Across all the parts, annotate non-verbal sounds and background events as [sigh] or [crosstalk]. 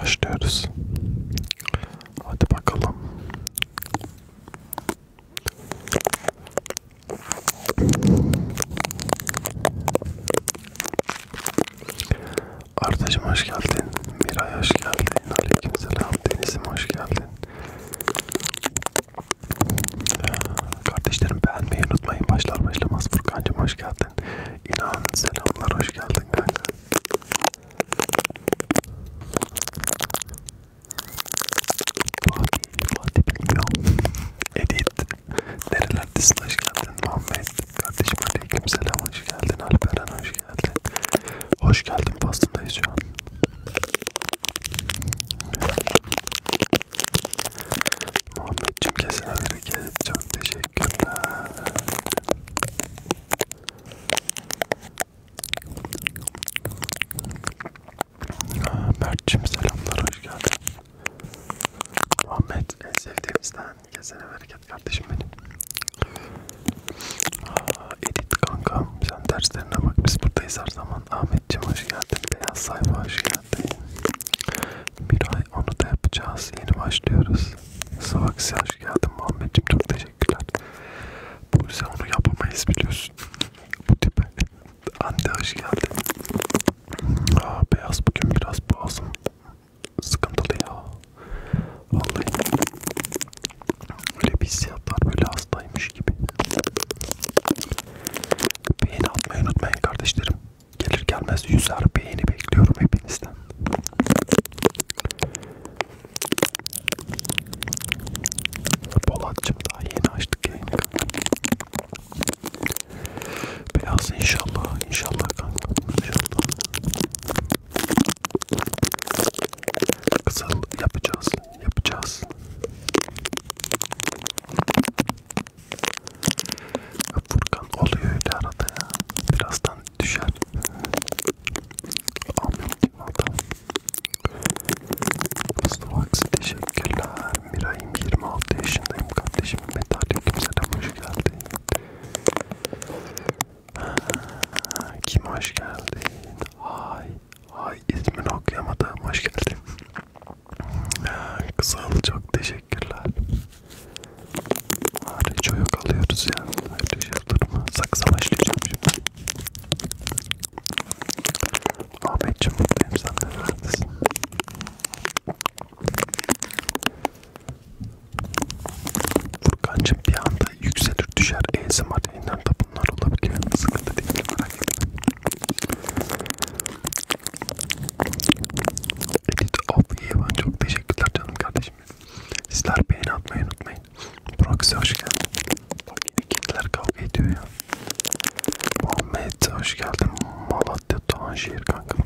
Başlıyoruz. Hadi bakalım. Ardacım hoş geldin. Miray hoş geldin. Aleykümselam. Deniz'im hoş geldin. Ee, kardeşlerim beğenmeyi unutmayın. Başlar başlamaz Furkan'cım hoş geldin. İnan selamlar hoş geldin kanka. Fatih, Fatih bilmiyorum. Edi gitti. Nerelerdesin hoş geldin Muhammed. Kardeşim aleyküm selam hoş geldin. Alperen hoş geldin. Hoş geldin pastındayız şu an. Muhammedciğim kesene bereket. Çok teşekkürler. Mert'cim selamlar hoş geldin. Muhammed en sevdiğimizden kesene bereket kardeşim benim. Aa, edit kankam sen derslerine bak biz buradayız her zaman. Ahmet'cim hoş geldin. Beyaz sayfa hoş geldin. Bir ay onu da yapacağız. Yeni başlıyoruz. Savaksi hoş geldin Muhammed'cim çok teşekkürler. Bu yüzden onu yapamayız biliyorsun. Bu tip. Ante hoş geldin. Aa, beyaz bugün biraz boğazım sıkıntılı ya. Vallahi öyle bir hissiyatlar böyle hastaymış gibi. Beğeni atmayı unutmayın kardeşlerim. Gelir gelmez yüzer beğeni bekliyorum hepinizden. Polatcığım daha yeni açtık yayını. Biraz inşallah, inşallah kanka, inşallah. Kızıl yapacağız, yapacağız. Furkan oluyor öyle arada ya. Birazdan düşer. Amin. Adam. Aslıvax teşekkürler. Miray'ım 26 yaşındayım kardeşim. Metalik selam hoş geldin. Kim hoş geldin? Hay, hay ismini okuyamadım. Hoş geldin. Kızıl çok teşekkürler. Hariç yok alıyoruz ya. Hariç şey yıldırma. Saksa başlayacağım şimdi. Ahmetciğim mutluyum sen de neredesin? Furkancım bir anda yükselir düşer ASMR yayından da bunlar olabiliyor. Sıkıntı değil merak etme. Edit of Yevan çok teşekkürler canım kardeşim. Sizler beğeni atmayı unutmayın. Proxy hoş geldin. Bak yine kediler kavga ediyor ya. Muhammed hoş geldin. Malatya Doğanşehir kanka.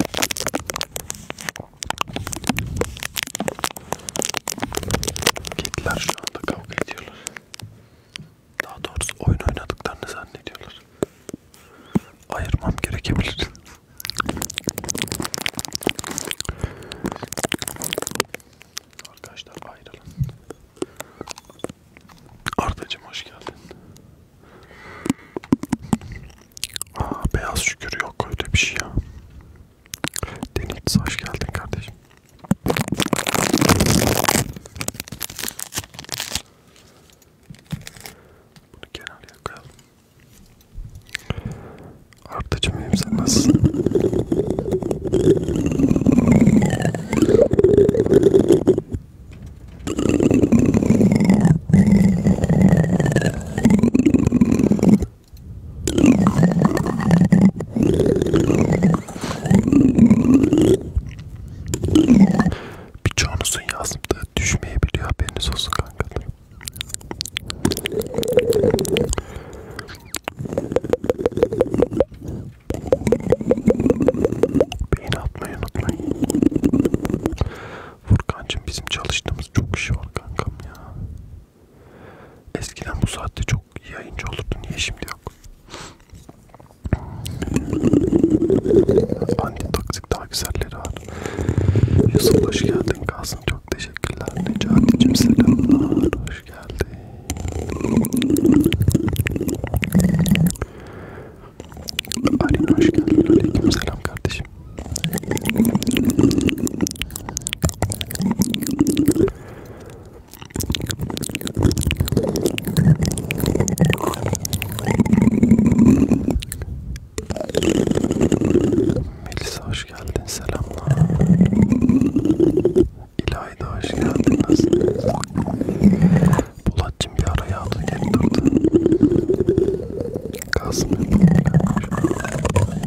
Gittiler şu anda kavga ediyorlar. Daha doğrusu oyun oynadıklarını zannediyorlar. Ayırmam gerekebilir. Arkadaşlar ayrılın. Ardacım hoş geldin. Aa, beyaz şükür yok öyle bir şey ya. Denizli hoş geldin kardeşim. Bunu kenarıya koyalım. Ardacım benim sen nasılsın? Birçoğunuzun yazdığı düşmeyebiliyor haberiniz olsun kankalarım. Beni atmayı unutmayın. Furkancığım bizim çalıştığımız çok iş var kankam ya. Eskiden bu saatte çok yayıncı olurdu. Niye şimdi yok? Anti toksik daha güzelleri var. Yusuf hoş geldin Kasım. Çok teşekkürler. Necati'cim selamlar. Hoş geldin. Arin hoş geldin. Aleyküm selam kardeşim. Melisa hoş geldin. Selamlar. İlayda hoş geldin. Nasılsın? Polatcım bir ara yağdı geri durdu. Kasım yapalım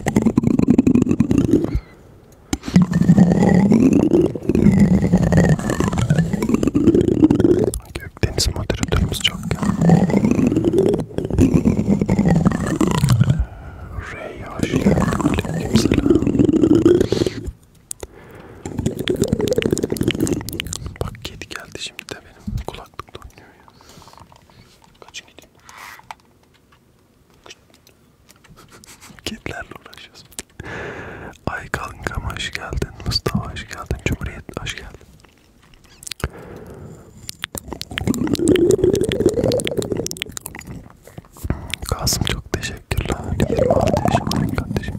Gökdeniz moderatörümüz çok ya. Rey hoş geldin. Aleyküm selam. Bak kedi geldi şimdi de benim kulaklıkta oynuyor ya. Kaçın gideyim. Kedilerle uğraşıyoruz. Ay kankam hoş geldin. Mustafa hoş geldin. Cumhuriyet hoş geldin. Kasım çok teşekkürler. 26 yaşındayım kardeşim.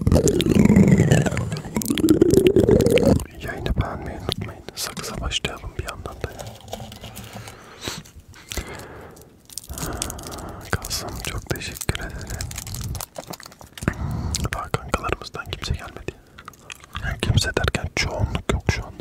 Yayını beğenmeyi unutmayın. Sakıza başlayalım bir yandan da. Kalsam çok teşekkür ederim. Daha kankalarımızdan kimse gelmedi. Yani kimse derken çoğunluk yok şu anda.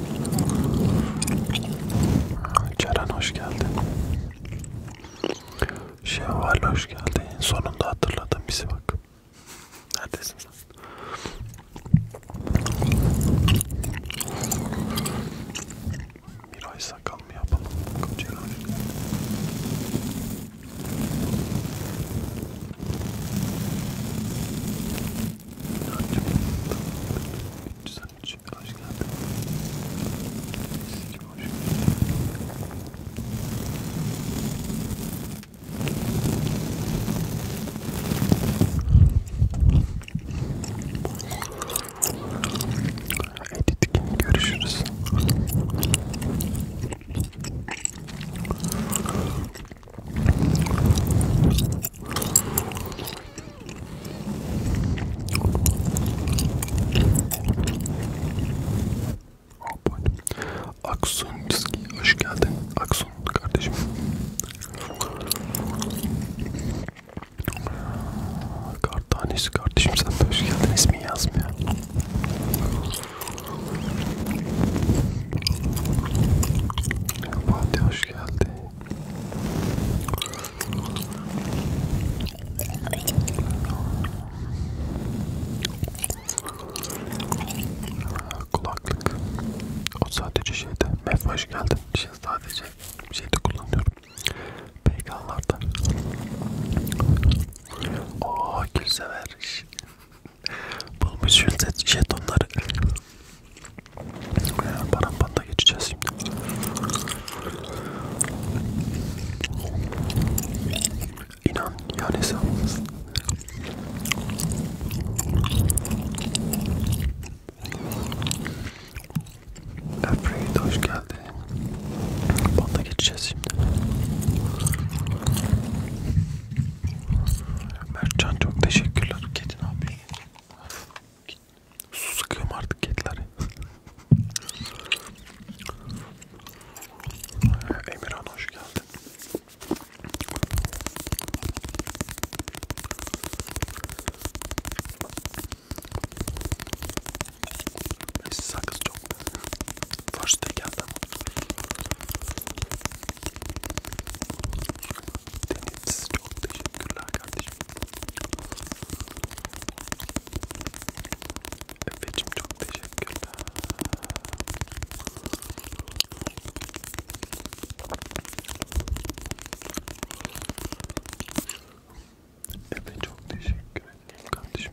Ceren hoş geldin. Şevval hoş geldin. Sonunda hatırladın bizi bak. Neredesin sen? Bir ay sakal mı yapalım? Bakalım 313 hoş geldin. Sizcim hoş geldin. Edit gibi görüşürüz. Aksun Çizgi hoş geldin Aksun kardeşim Kart tanesi kardeşim sen de hoş geldin ismin yazmıyor Fatih hoş geldin Kulaklık. O sadece şeyde. Mefhoş geldi. Şey sadece şeyde kullanıyorum. Peygamber'da. Ooo gül sever. [laughs] Bulmuş jetonları. Parampanda geçeceğiz şimdi. İnan yani hesabımız. Efreyi de hoş geldin. Banda geçeceğiz şimdi. Mertcan çok teşekkürler. Kedin abi. Su sıkıyorum artık kedilere. Ee, Emirhan hoş geldin. Sakız çok. First day geldi ama. Deniz çok teşekkürler kardeşim. Efeciğim çok teşekkürler. Efe çok teşekkür ederim kardeşim.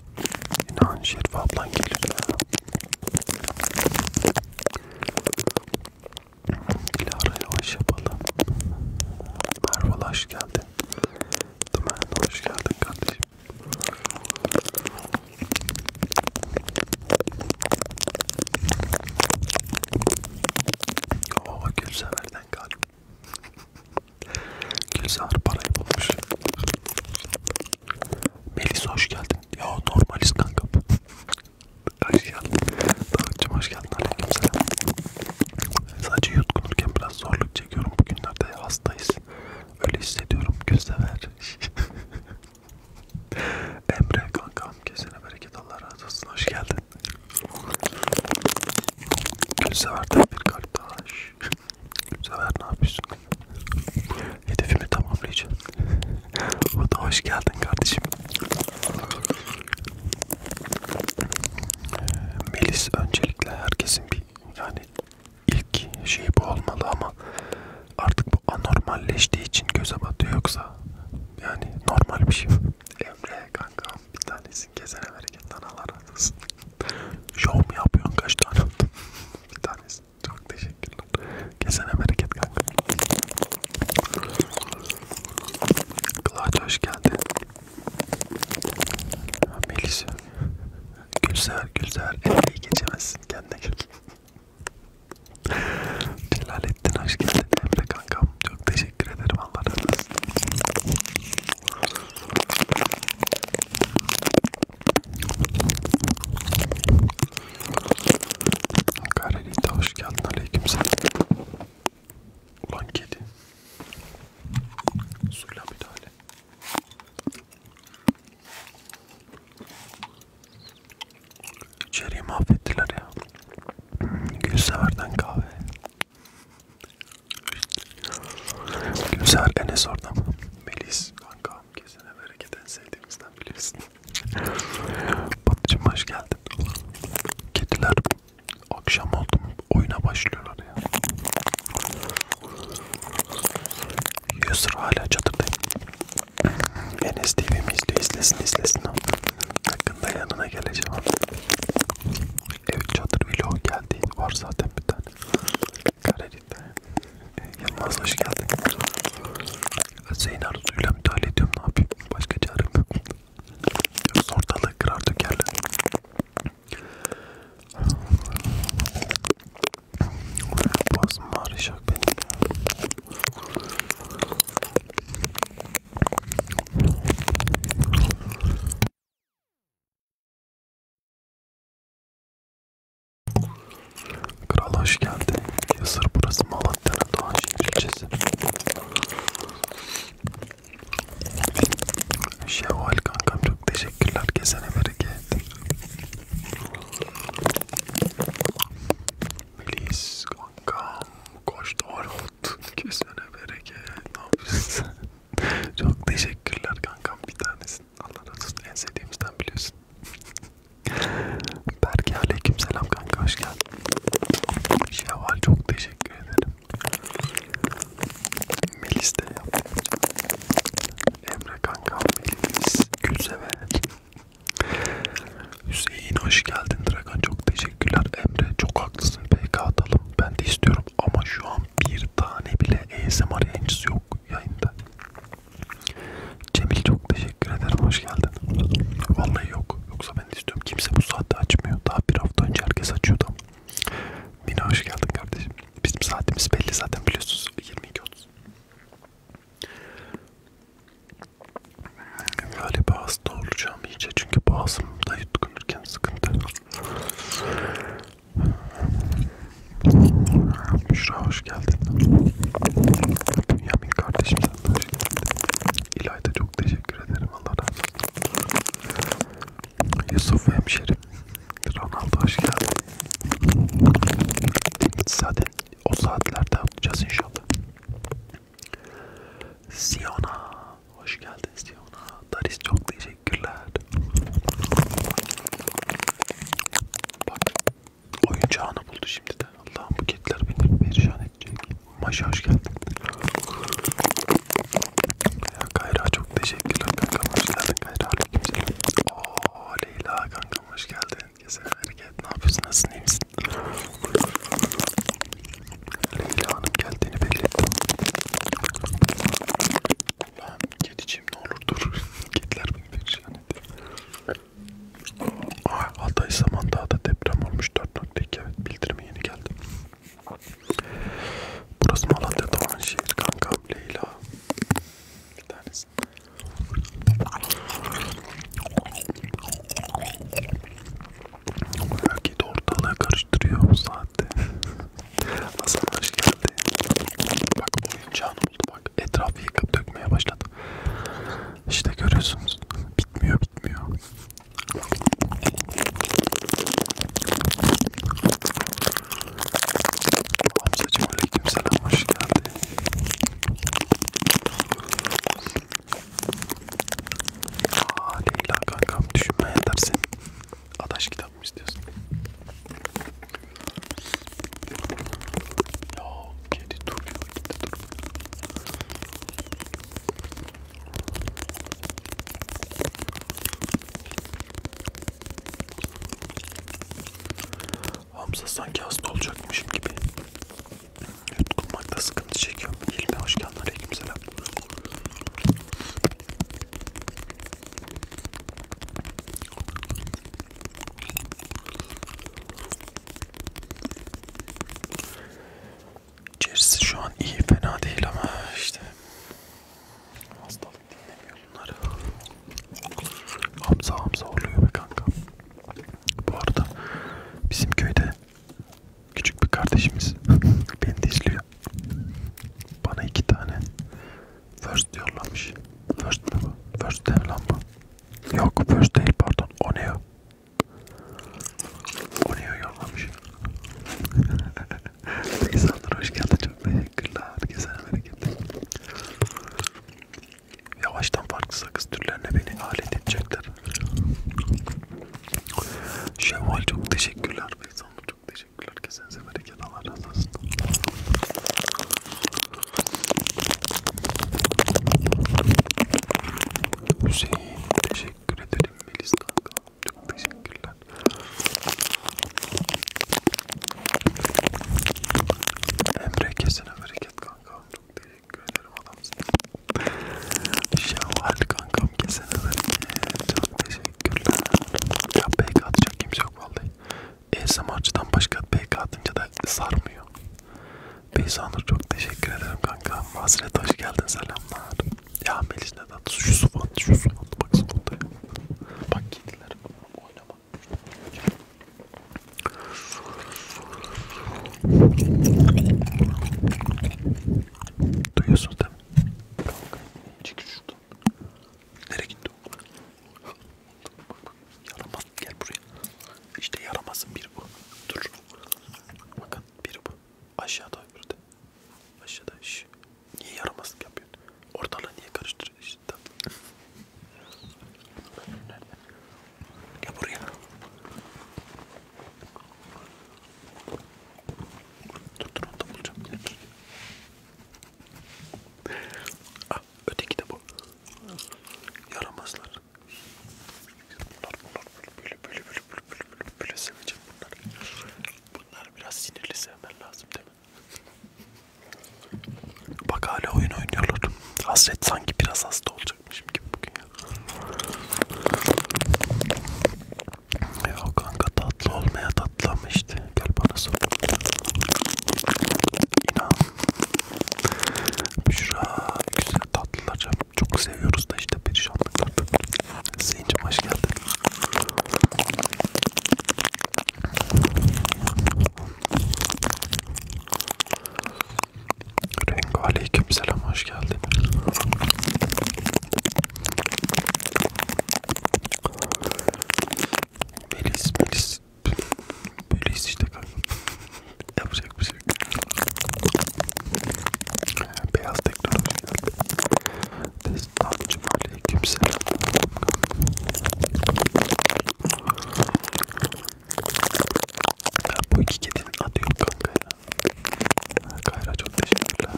İnan Şerife ablan gelir ya. Dilara yavaş yapalım. Merve hoş geldin. Dümen hoş geldin kardeşim. O oh, gülseverden kalp. Gülzar parayı bulmuş. Melis hoş geldin. Ya normaliz kanka. hoş geldin. Davutcum hoş geldin. Aleykümselam. Sadece yutkunurken biraz zorluk çekiyorum. Bugünlerde hastayız. Öyle hissediyorum. Gözdever. [laughs] Emre kankam kesene bereket Allah razı olsun. Hoş geldin. Gözdever'den bir kalp taş. Sever ne yapıyorsun? Hedefimi tamamlayacağım. o [laughs] da hoş geldin kardeşim. Ee, Melis öncelikle herkesin bir yani ilk şey bu olmalı ama artık bu anormalleştiği için göze batıyor yoksa yani normal bir şey. Emre kanka bir tanesin kesene bereket analar arasın. Şov mu yapıyorsun kaç tane oldun? [laughs] bir tanesin. Çok teşekkürler. Kesene bereket kanka. Kılaç hoş geldin. Melis. Gülsever Gülsever. Elbeyi geçemezsin kendine gel. Celalettin hoş geldin. Emre kankam. Çok teşekkür ederim. Allah razı olsun. Karelita hoş geldin aleykümselam. Ulan kedi. Suyla müdahale. İçeriği mahvettiler ya. Gülsever'den kahve. Gülsever Enes orada mı? Melis kanka. Allah'ım kesene bereket en sevdiğimizden biliyorsun. Batucuğum hoş geldin. Kediler akşam oldu mu oyuna başlıyorlar ya. Yusur hala çadırdayım. Enes TV'mi izliyor izlesin izlesin. Yakında yanına geleceğim. Evet çadır vlog geldi var zaten bir tane. Karelinde. Ee, Yılmaz hoş geldin. Zeyn arzuyla müdahale ediyorum ne yapayım? Başka çarem yok. Yoksa ortalığı kırar dökerler. Boğazım ağrışak benim. Kral hoş geldin. Yasır burası Malatya'nın Doğanşehir ilçesi. Şevval kankam çok teşekkürler. Kesene bereket. Melis kankam koş Davut. Kesene bereket. Ne yapıyorsun? çok teşekkürler kankam bir tanesin. Allah razı olsun. En sevdiğimizden biliyorsun. [laughs] Berke aleyküm selam kanka hoş geldin. Şevval çok teşekkür ederim. Melis de yaptım. Emre kanka Melis Gülsever. Hüseyin hoş geldin Dragan çok teşekkürler. Emre çok haklısın PK atalım. Ben de istiyorum ama şu an bir tane bile ASMR yayıncısı yok yayında. Cemil çok teşekkür ederim hoş geldin. Vallahi yok. Yoksa ben de istiyorum. Kimse bu saatte açmıyor. Daha bir hafta önce herkes açıyordu. Mine hoş geldin kardeşim. Bizim saatimiz belli zaten biliyorsunuz. 22.30. Galiba hasta olacağım iyice çünkü boğazımda yutkunurken sıkıntı. Müşra hoş geldin. Bünyamin kardeşim sen de hoş geldin. İlayda çok teşekkür ederim Allah razı olsun. Yusuf hemşerim. Ronaldo hoş geldin. Zaten o saatlerde yapacağız inşallah. Siona hoş geldin Siona. Daris çok teşekkürler. Bak oyuncağını buldu şimdi de. Allah'ım bu kediler beni perişan edecek. Maşa hoş geldin. Ya Kayra çok teşekkürler kankam hoş geldin Kayra aleykümselam. Ooo Leyla kankam hoş geldin. Güzel hareket ne yapıyorsun nasılsın iyi misin? Leyla Hanım geldiğini belli ettim. Allah'ım kediciğim ne olur dur. [laughs] Kediler beni şey perişan etti. Hatay Samandağ'da deprem olmuş 4.2 evet bildirimi yeni geldi. Burası Malatya Doğan şehir kanka Leyla. Bir tanesi. Kedi ortalığı karıştırıyor bu saatte. [laughs] Hasan hoş geldin. Bak oyuncağın oldu. Bak etrafı yıkıp dökmeye başladı. İşte görüyorsunuz. Bitmiyor bitmiyor. Hamzacım aleyküm selam hoş geldin. Aa Leyla kankam düşünme yetersin. Adaş kitap mı istiyorsun? Ya kedi duruyor, kedi duruyor. Hamza sanki hasta olacakmışım gibi. Yutkunmakta sıkıntı çekiyorum. İlme hoş geldin. Aleykümselam. İçerisi şu an iyi fena değil ama işte hastalık dinlemiyor bunları. Hamza hamza oluyor be kanka. Bu arada bizim köyde küçük bir kardeşimiz [laughs] beni de izliyor. Bana iki tane First yollamış. First mi bu? First değil lan bu. Yok first değil pardon. O ne o? O ne o yollamış? İnsanlar [laughs] hoş geldin. Çok teşekkürler. Herkese hareketler. Yavaştan farklı sakız türlerine beni alet edecekler. Şevval çok teşekkürler. Beyzanlı çok teşekkürler. Kesenize bereket için Allah razı olsun. Hüseyin teşekkür ederim Melis kanka. Çok teşekkürler. Emre kesene bereket kankam. Çok teşekkür ederim adamsın. Şevval kankam kesene bereket. Çok teşekkürler. Ya pek atacak kimse yok vallahi. ASMR'cıdan başka BK atınca da sarmıyor. Beysanur çok teşekkür ederim kanka. Hazret hoş geldin selamlar. Ya Melis neden? Şu suvan, şu suvan. Bak suvan Bak kediler oynama. Duyuyorsunuz değil mi? Kanka, çekil şuradan. Nereye gitti o? Yaramaz gel buraya. İşte yaramazın biri bu. Dur. Bakın biri bu. Aşağıda öbürü de. Aşağıda iş. Niye yaramazlık yapıyorsun? Ortalığı niye karıştırıyorsun? İşte, Gel buraya. Dur dur onu da bulacağım. Dur. Ah, öteki de bu. Yaramazlar. Bunlar, bunlar böyle böyle böyle böyle böyle böyle böyle seveceğim bunlar. Bunlar biraz sinirli sevmen lazım değil mi? Bak hala oyun oynuyorlar. Hasret sanki biraz hasta olacakmışım gibi bugün ya. Ya kanka tatlı olmaya tatlı ama işte gel bana sor. İnan Büşra güzel tatlılar çok seviyoruz da işte perişanlıklar. Zeynep hoş geldin. Rengo aleyküm selam hoş geldin. Melis, Melis böyleyiz. Böyleyiz işte kanka. Yapacak bir şey. Beyaz teknoloji. Destan cümle kimse. Bu iki kedinin adı yok kanka ya. Kayra çok teşekkürler.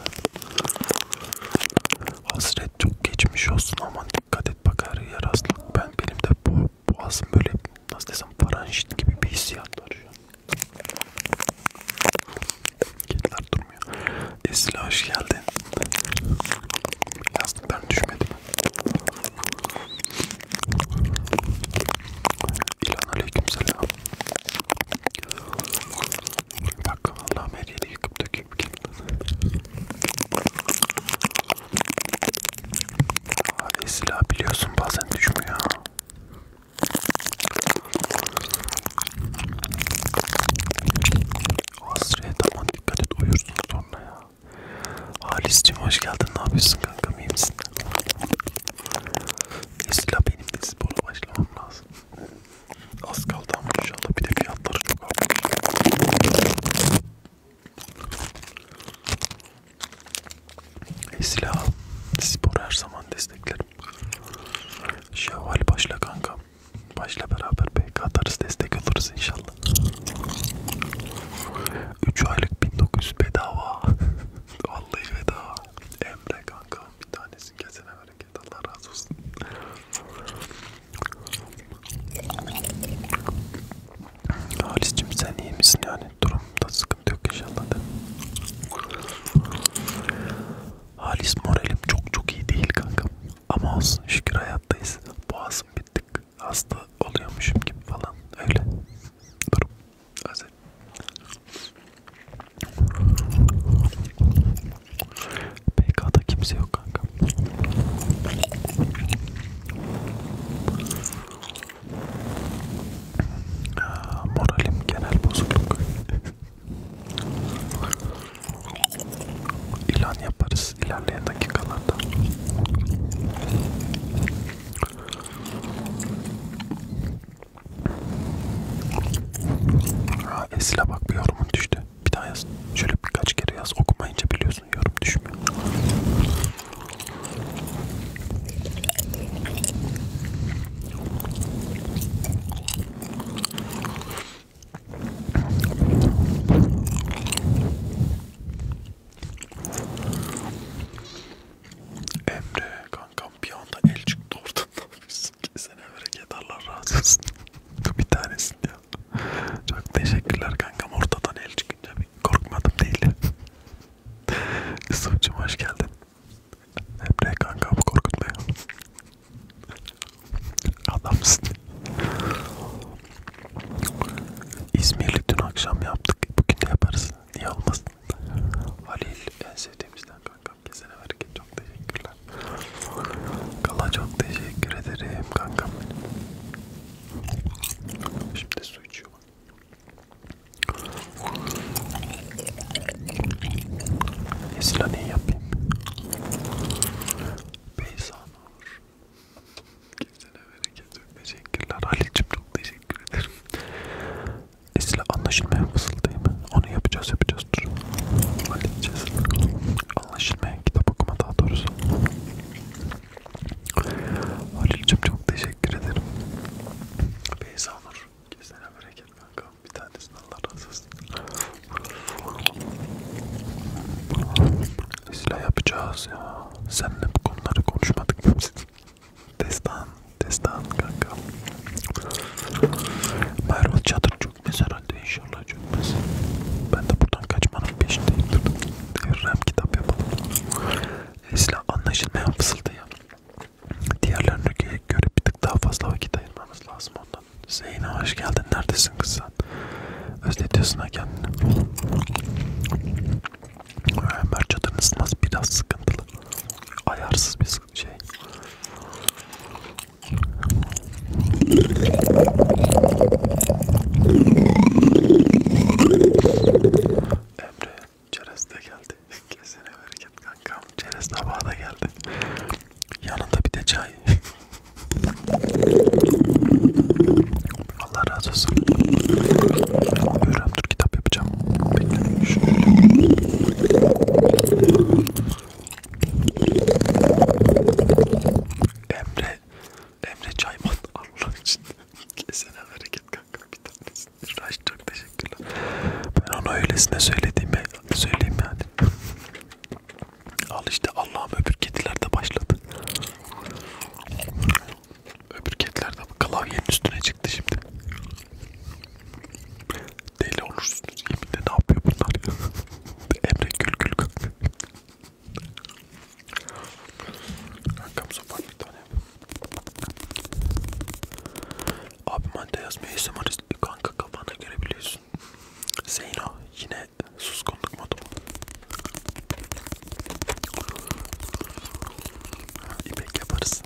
Hasret çok geçmiş olsun aman dikkat et bak her yer aslan. Ben benim de bu boğazım böyle nasıl desem paranjit gibi bir hissiyat var şu an. Kediler durmuyor. Esra hoş geldin. Lastikten düşmedim. İlan aleykümselam. Bak Allah'ım her yeri yıkıp döküp geldi. Abi silah biliyorsun bazen düşmüyor. Asreye tamam dikkat et uyursun sonra ya. Halis'cim hoş geldin ne yapıyorsun kankam iyi misin? Mesela benim de spora başlamam lazım. Az kaldı ama inşallah bir de fiyatları çok artmış. E, silah spor her zaman desteklerim. Şevval başla kanka. Başla beraber BK atarız destek alırız inşallah. 3 aylık 1900 bedava. [laughs] Vallahi bedava. Emre kanka bir tanesini kesene bereket Allah razı olsun. Halis'cim sen iyi misin yani durumda sıkıntı yok inşallah da. Halis moralim çok çok iyi değil kankam ama olsun şükür hayattayız. Boğazım bittik hasta oluyormuşum gibi falan öyle durum özel. PK'da kimse yok kanka. Moralim genel bozukluk. İlan yaparız ilerleyen dakikalarda. Ha, Esil'e bak bir yorumun düştü. Bir daha yaz. Şöyle birkaç kere yaz. Okumayınca biliyorum atıyorsun yorum düşmüyor. Emre kankam bir anda el çıktı ortadan. Kesene [laughs] bereket Allah razı olsun. [laughs] bir tanesin ya. Çok teşekkürler kankam. Ortadan el çıkınca bir korkmadım değil. [laughs] Yusuf'cum hoş geldin. Emre kankam korkutmuyor. Adamsın. İzmirli dün akşam yaptık. Bugün de yaparız. Niye olmasın? Halil en sevdiğimizden kankam. Kesene vergin. Çok teşekkürler. Kala çok teşekkür ederim kankam. Şimdi su içiyor. Esra ne yapayım? Beyza Nur. Kimsene bereket teşekkürler. Halicim çok teşekkür ederim. Esra anlaşılmaya fısıldayım. Onu yapacağız yapacağız dur. Halledeceğiz. Anlaşılmaya kitap okuma daha doğrusu. Halil'cim çok teşekkür ederim. Beyza Nur. Kesene bereket kanka. Bir tanesini Allah razı olsun. Silah yapacağız ya. Seninle bu konuları konuşmadık mı? [laughs] Destan, destan kanka. Merve çadır çökmez herhalde inşallah çökmez. Ben de buradan kaçmanın peşindeyim. Rem kitap yapalım. Esla anlaşılmayan fısıldıyor. Diğerlerine göre bir tık daha fazla vakit ayırmamız lazım ondan. Zeyno hoş geldin. Neredesin kız sen? Özletiyorsun ha kendini. Ömer çadırın ısınması biraz sıkıntılı. Ayarsız bir şey. Emre çerez de geldi. [laughs] Kesene bereket kankam. Çerez tabağı da geldi. Yanında bir de çay. [laughs] Allah razı olsun. Öğren dur kitap yapacağım. Bekle. Şöyle. Emre Emre Çayman [laughs] Allah için kesene hareket kanka bir tanesi. Raş çok teşekkürler. Ben onu öylesine söylediğimi söyleyeyim yani. Al işte Allah'ım öbür kediler de başladı. Öbür kediler de klavyenin üstüne çıktı şimdi. Deli olursunuz yeminle ne yapıyor bunlar ya. [laughs] Emre gül gül kanka. Kankam sopar bir tane. Abi madde yazmayı istemeyiz. Kanka kafana görebiliyorsun. Zeyno yine suskunluk modu mu? İpek yaparız.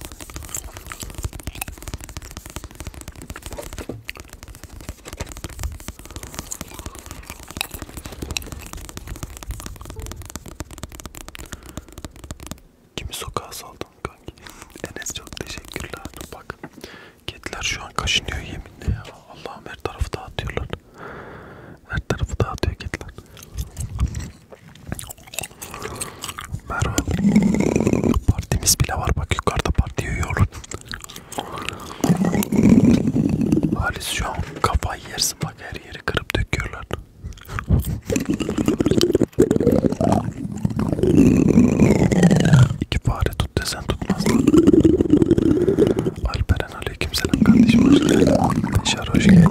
Kimi sokağa saldın kanki? [laughs] Enes çok teşekkürler. Bak kediler şu an kaşınıyor yeminle ya. Allah'ım her tarafı dağıtıyorlar. Her tarafı dağıtıyor kediler. Merhaba. Partimiz bile var. Bak yukarıda parti yiyoruz. Halis şu an kafayı yersin bak her yeri yeri kırıp döküyorlar. İki fare tut desen tutmaz. Alperen aleykümselam kardeşim hoş geldin. Şar hoş geldin.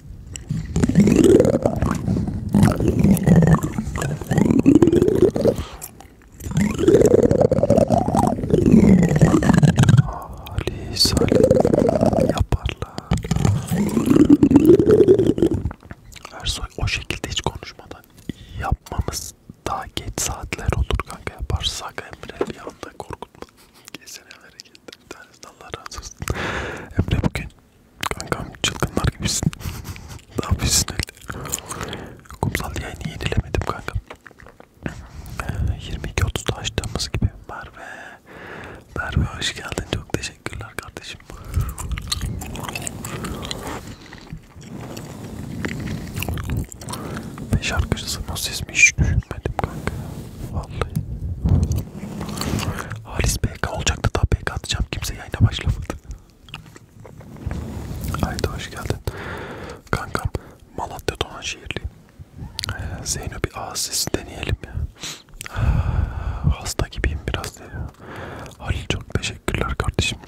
Ali Salih yaparlar. Ersoy o şekilde hiç konuşmadan yapmamız daha geç saatler olur kanka yaparsak Emre bir anda korkutma. Kesene hareket. Bir tanesi Allah razı olsun. Emre bugün Kankam çılgınlar gibisin. ne yapıyorsun öyle? Kumsal yayını yenilemedim kankam. 22.30'da ee, açtığımız gibi Merve. Merve hoş geldin. Çok teşekkürler kardeşim. Ve şarkıcısının sesini hiç düşünmedim kanka. Vallahi. Halis PK olacaktı da PK atacağım. Kimse yayına başlamadı. Haydi hoş geldin. Kankam Malatya Donan şehirliyim. Ee, Zeyno bir asis deneyelim ya. Ah, hasta gibiyim biraz diye. Halil çok teşekkürler kardeşim.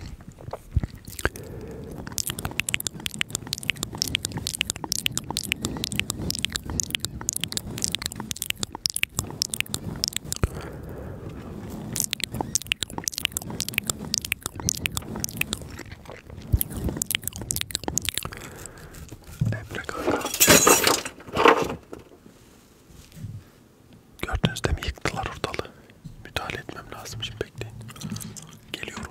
Emre kanka. Gördünüz değil mi? Yıktılar ortalığı. Müdahale etmem lazım. Şimdi bekleyin. Geliyorum.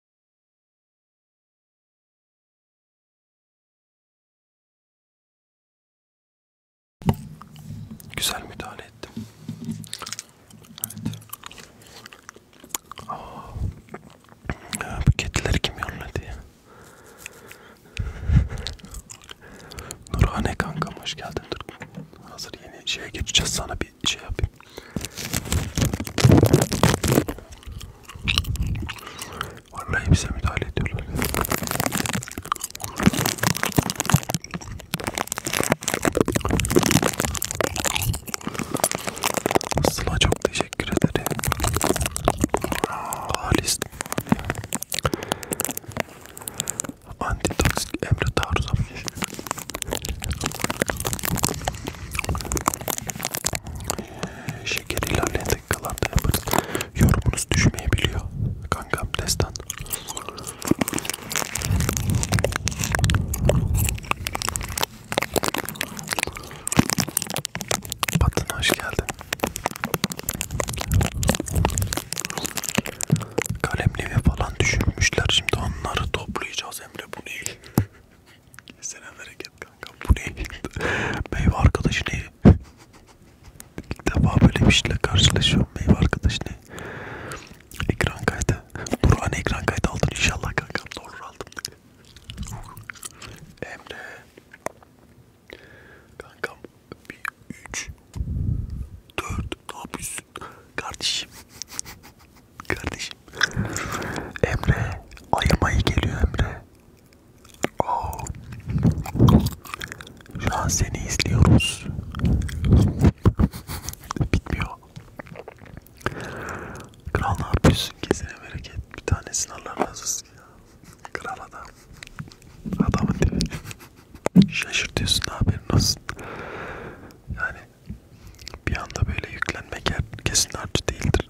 Güzel müdahale ettim. Evet. Oh. Ya, bu kedileri kim yolladı ya? Nurhane kankam hoş geldin. Dur. Hazır yeni şeye geçeceğiz sana bir şey yapayım. Vallahi bize müdahale ediyorlar. Sıla çok teşekkür ederim. Halis. Antitoksik Emre Tarzan. Şeker ilerleyen dakikalarda yaparız. Yorumunuz düşmeyebiliyor. Kankam destan. Batın hoş geldin. Kalemliğe falan düşürmüşler. Şimdi onları toplayacağız Emre bu değil. Kesene bereket kanka. Bu ne? meyve arkadaşı ne? İlk defa böyle bir şeyle karşılaşıyorum. Meyve arkadaşı ne? Ekran kaydı. Burhan ekran kaydı aldın inşallah kanka. Doğru aldım. Emre. Kankam. Bir, üç, dört. Ne yapıyorsun? Kardeşim. Kardeşim. Emre. Ayırmayı geliyor Emre. Oh. Şu an seni izliyoruz. Bitmiyor. Kral ne yapıyorsun? Kesene bereket. Bir tanesini Allah razı olsun ya. Kral adam. Adamın tipi. Şaşırtıyorsun haberin olsun. Yani bir anda böyle yüklenmek kesin artı değildir.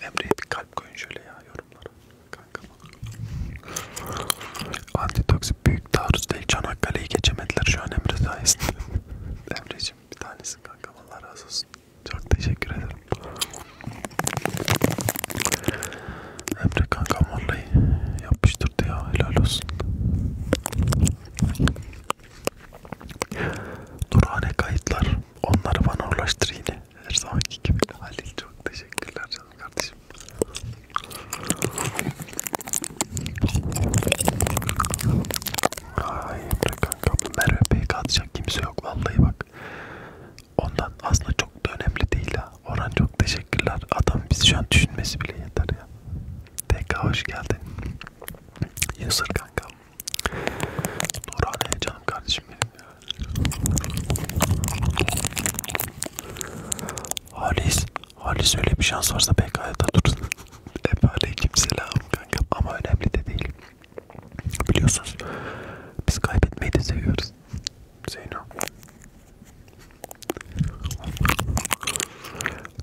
Emre'ye bir kalp koyun şöyle ya yorumlara. Kanka Antitoksik büyük taarruz değil. Çanakkale'yi geçemediler şu an Emre sayesinde. [laughs] Emre'cim bir tanesin kanka. Allah razı olsun. Çok teşekkür ederim. Emre kanka vallahi yapıştırdı ya. Helal olsun. Durhane kayıtlar. Onları bana ulaştır yine. Her zamanki gibi Halil çok teşekkürler canım kardeşim. Ay Emre kankam Merve PK atacak kimse yok vallahi bak. Ondan aslında çok da önemli değil ha. Orhan çok teşekkürler. Adam biz şu an düşünmesi bile yeter ya. TK hoş geldin. Yusur kankam Nurhan'a canım kardeşim benim ya. Halis, Halis öyle bir şans varsa PKK'da dursun. [laughs] Hep aleykümselam kanka ama önemli de değil. Biliyorsunuz biz kaybetmeyi de seviyoruz. Zeyno.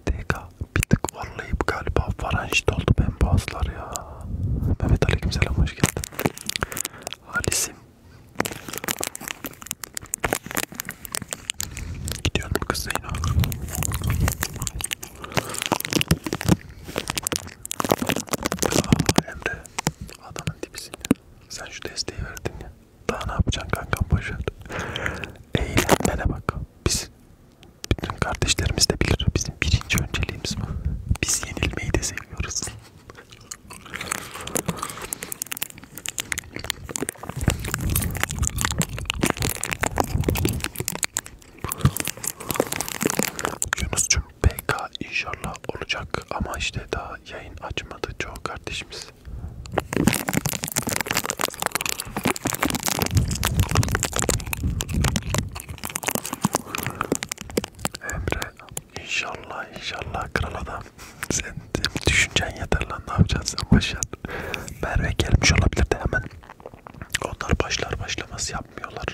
TK bir tık varlayıp galiba faranjit oldu ben boğazlar ya. Mehmet aleykümselam hoş geldin. Halisim. Gidiyorum kız Zeyno. Aa, Emre adamın dibisin ya. Sen şu desteği verdin ya. Daha ne yapacaksın kankam boşver. Eğlenmene bak. Biz bütün kardeşlerimiz de bilir. Bizim birinci önceliğimiz bu. Biz yenilmeyi de seviyoruz görmüyoruz. Yunus'cum PK inşallah olacak ama işte daha yayın açmadı çoğu kardeşimiz. Emre inşallah inşallah kral adam. [laughs] Sen düşüncen yeter lan ne yapacaksın sen başlar. Merve gelmiş olabilir de hemen. Onlar başlar başlamaz yapmıyorlar.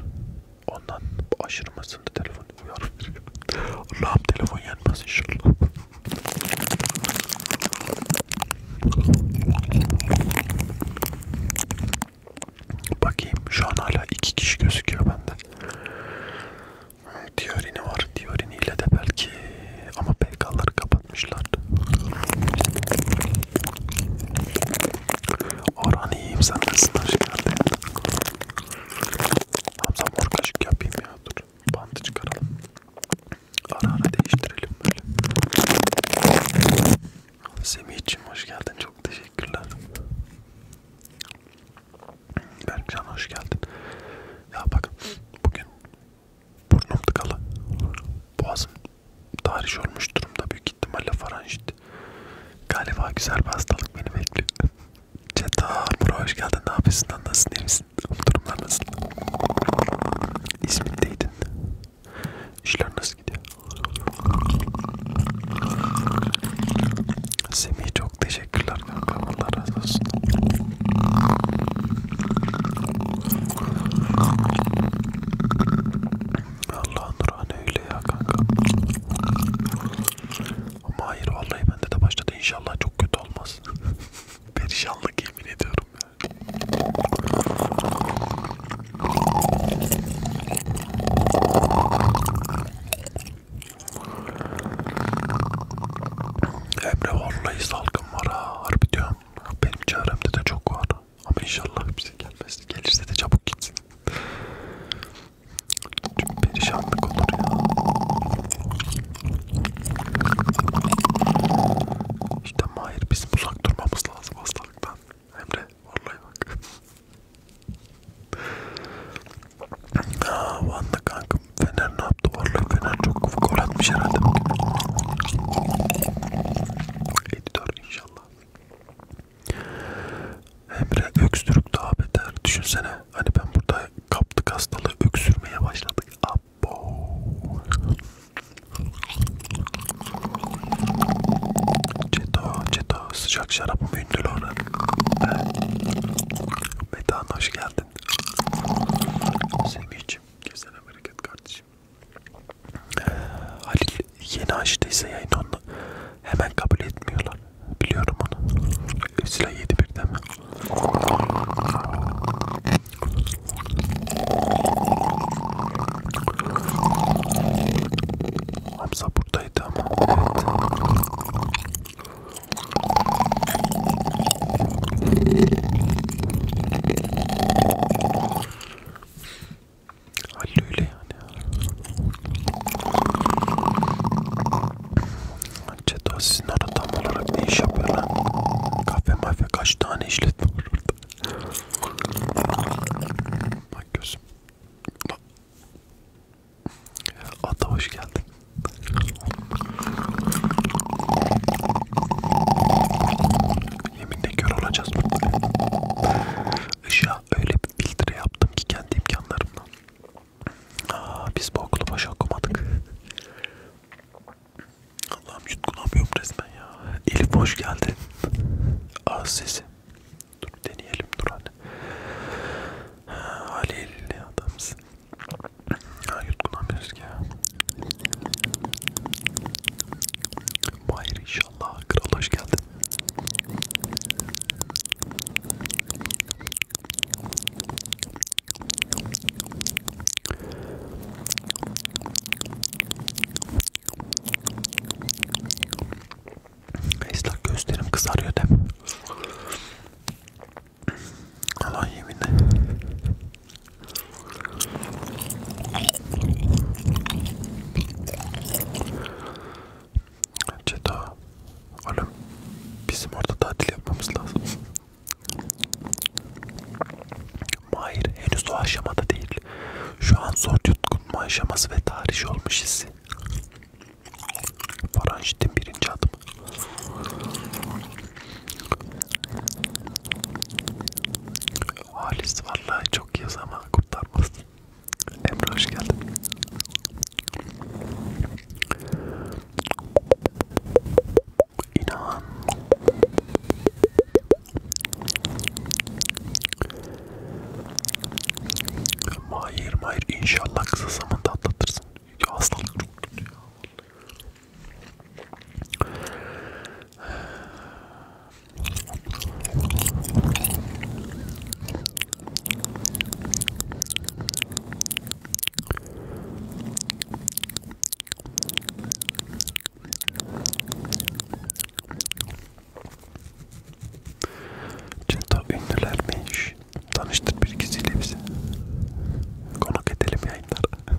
Ondan aşırı masında telefon uyar veriyor. [laughs] Allah'ım telefon yanmaz inşallah. Bakayım şu an hala iki kişi gözüküyor bende. Diorini var. Diorini ile de belki ama PK'ları kapatmışlar. Orhan iyiyim sen nasılsın hoş geldin. Hamza mor kaşık yapayım ya dur. Bandı çıkaralım. Ara ara değiştirelim böyle. Semih'cim hoş geldin. Çok teşekkürler. Berkcan hoş geldin. Ya bakın bugün burnum tıkalı. Boğazım tahriş olmuş durumda. Büyük ihtimalle faranjit. Galiba güzel bir hastalık beni bekliyor. Ceta Mura hoş geldin. Ne yapıyorsun? Nasılsın? İyi misin? Durumlar nasıl? İzmir'deydin. İşler nasıl gidiyor? Semih çok teşekkürler kanka. Allah razı olsun. Allah Nurhan öyle ya kanka. Ama hayır vallahi bende de başladı. İnşallah çok kötü olmaz. [laughs] Perişanlık yemin ediyorum yani. Emre vallahi salgın var ha harbi diyorum. Benim çevremde de çok var. Ama inşallah hepsi gelmez. Gelirse de çabuk gitsin. Çünkü perişanlık olur ya. İşte Mahir bizim uzak durmamız lazım hastalıktan. Emre vallahi bak. Aa Van'da kankam Fener ne yaptı? Vallahi Fener çok gol atmış herhalde. 54 inşallah. Emre öksürük daha beter. Düşünsene hani ben burada kaptık hastalığı öksürmeye başladık. Abo. Ceto, ceto sıcak şarabımı gündür ona. Metan hoş geldin. Semih'cim güzel hareket kardeşim. Halil yeni açtıysa yayın onu hemen kabul etmiyorlar. Biliyorum onu. Esra yedi bir de mi? Hamza burada noktadaydı ama evet. öyle yani. Ceto sizin orada tam olarak ne iş yapıyorlar? Kafe mafya kaç tane işletme var orada? Bak gözüm. Ata hoş geldin. Yeminle kör olacağız burada. Işığa öyle bir filtre yaptım ki kendi imkanlarımla. Aa, biz bu okulu boş okumadık. Allah'ım yutkunamıyorum resmen ya. Elif hoş geldin. Ağız sesi. Dur deneyelim dur hani. Halil adamsın. Ha yutkunamıyoruz ki ya. Bayır inşallah. Kral hoş geldin. Islak gözlerim kızarıyor değil mi? Allah yeminle. Ceda, oğlum bizim orada tatil yapmamız lazım. Mahir henüz o aşamada değil. Şu an zor yutkun aşaması ve tarih olmuş hissi. Faranjit'in birinci adımı. Halis vallahi çok yaz ama kurtarmaz. Emre hoş geldin. İnan. Mahir mahir inşallah kısa zamanda atlatırsın. Hastalık çok kötü ya. Çeto ünlülermiş. Tanıştır bir ikisiyle bizi. Konuk edelim yayınlara.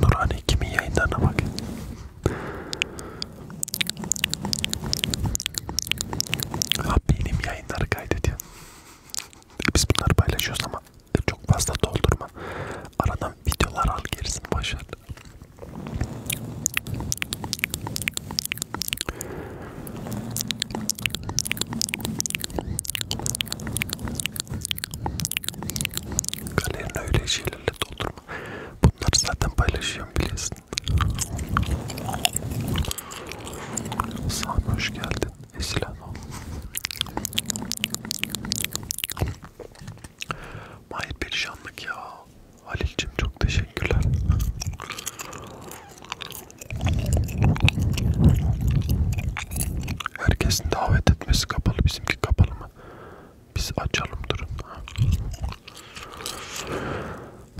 Nurhane kimin yayınlarına bak. Ha benim yayınları kaydediyor. Biz bunları paylaşıyoruz ama çok fazla doldurma. Aradan videolar al gerisini boşver. Galerini öyle şeylerle doldurma. Bunları zaten paylaşıyorum biliyorsun. Sami hoş geldin Esil Hanım. Mahir perişanlık ya. Halil'cim çok teşekkürler. Herkesin davet etmesi kapalı. Bizimki kapalı mı? Biz açalım durun.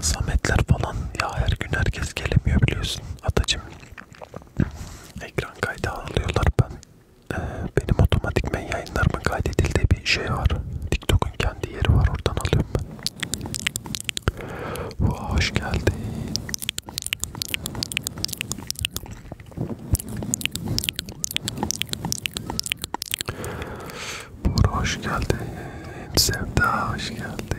Sametler falan ya her gün herkes gelemiyor biliyorsun atacım. Ekran kaydı alıyorlar ben. Ee, benim otomatikmen yayınlarımın kaydedildiği bir şey var. TikTok'un kendi yeri var oradan alıyorum ben. Oh, hoş geldin. Bora hoş geldin. Sevda hoş geldin.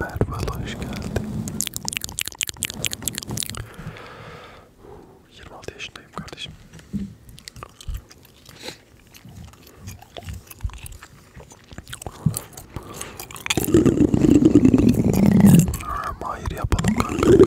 Merve hoş geldin. 26 yaşındayım kardeşim. Hayır yapalım kanka.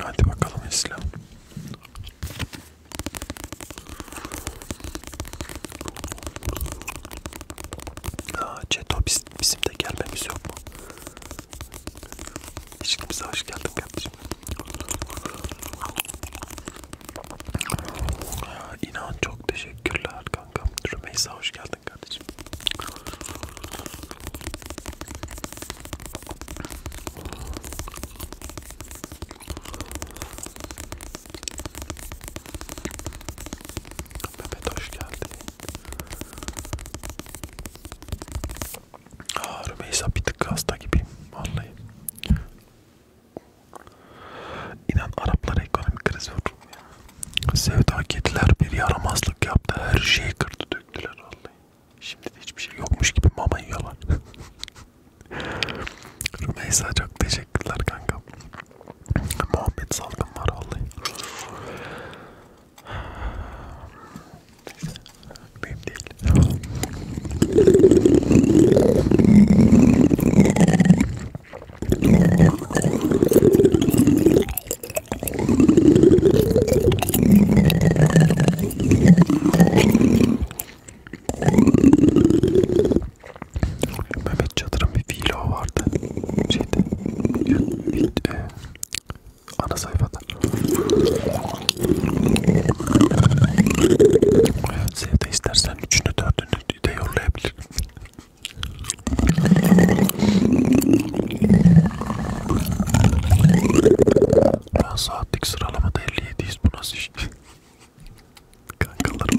Hadi bakalım İslam. Aa, Ceto biz, bizim de gelmemiz yok mu? İlişkimize hoş geldin kardeşim. İnan çok teşekkürler kankam. Rümeysa hoş geldin kardeşim. Mehmet hoş geldin. Rümeysa bir tık hasta gibiyim vallahi. İnan Araplara ekonomik kriz vurdu. Sevda kediler bir yaramazlık yaptı. Her şeyi kırdı döktüler vallahi. Şimdi de hiçbir şey yokmuş gibi mama yiyorlar. [laughs] Rümeysa çok teşekkürler kanka. Muhabbet salgın var vallahi. Benim değil. Mehmet Çadır'ın bir vlog vardı. Şeyde, ana sayfada. Sevde istersen üçünü dördünü de yollayabilirim. Ben saatlik sıralamada 57'yiz bu nasıl iş? Kankalarım.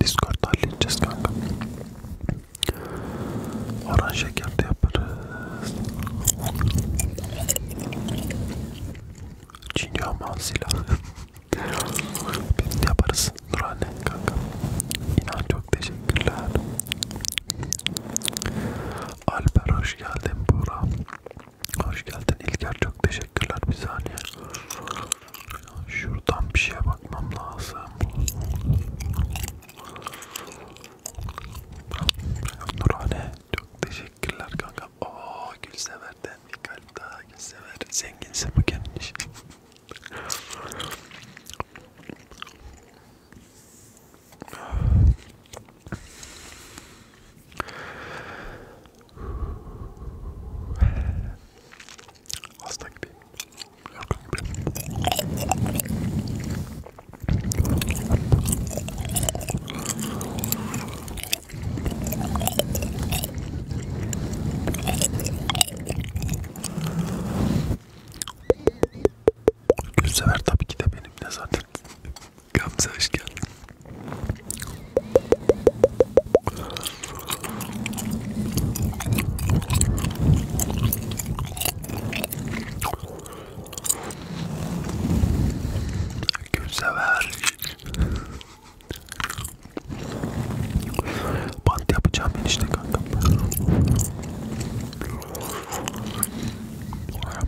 Discord'da halledeceğiz kanka. Oran şeker de yaparız. Çin yaman silahı. [laughs] Biz de yaparız. Nurhane kanka. İnan çok teşekkürler. Alper hoş geldin Burak. Hoş geldin İlker çok teşekkürler bir saniye. Şuradan bir şeye bakmam lazım. Nurhane çok teşekkürler kanka. Oo Gülsever'den bir kalp daha Gülsever. Zenginsin bu kendin işin. Hasta gibiyim. Yorgun gibiyim. Gülsever tabii ki de benimle zaten Gamze hoş geldin. Gülsever. Bant yapacağım enişte kankam.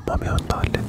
Mami onu da hallederiz.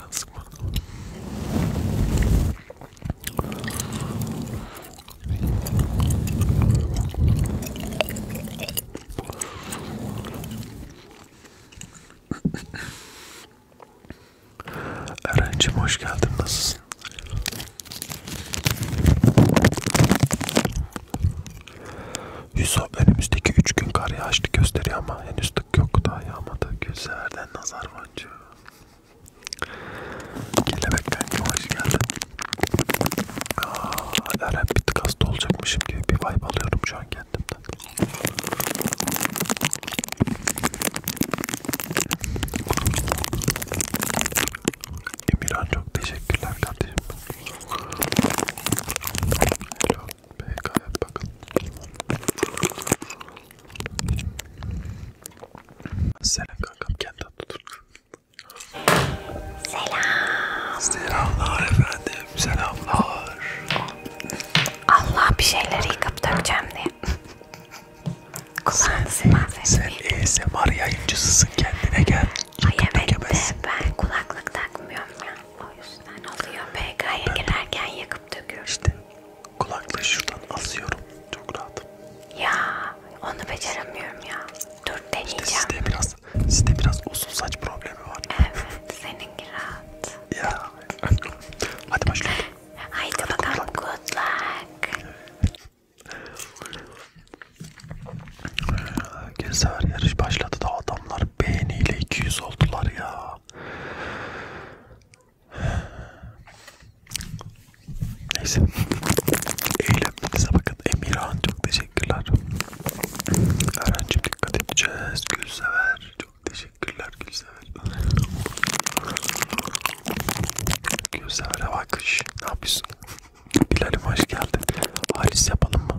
Arkadan sıkma. Erencim hoş geldin. Nasılsın? Yusuf önümüzdeki 3 gün kar yağışlı gösteriyor ama henüz artık yok daha yağmadı. Gülsever'den nazar boncuğu. Kelebek kanka hoş geldin. Aa, Eren bir tık hasta olacakmışım gibi bir vibe alıyorum şu an kendimden. Emirhan çok teşekkürler kardeşim. Hello. PKF bakın. Selam kankam kendini tutur. Selam. Selamlar efendim. Selamlar. Allah bir şeyleri yıkıp dökeceğim diye. [laughs] Kulağını sınav Sen ASMR yayıncısısın kendine gel. Ay evet ben kulaklık takmıyorum ya. O yüzden oluyor PK'ya girerken yakıp döküyorum. İşte kulaklığı şuradan asıyorum. Çok rahat. Ya onu beceremiyorum ya. Dur deneyeceğim. İşte sizde biraz, sizde biraz uzun saç problemi var. Evet seninki rahat. Ya. [laughs] Hadi başlayalım. Haydi, Hadi bakalım good luck. Good luck. Gezer yarış başladı da adamlar beğeniyle 200 oldular ya. Neyse. Eğlenmenize bakın. Emirhan çok teşekkürler. Öğrencim dikkat edeceğiz. Gülsever. Çok teşekkürler Gülsever. Gülsever'e bakış. Ne yapıyorsun? Bilal'im hoş geldin. Halis yapalım mı?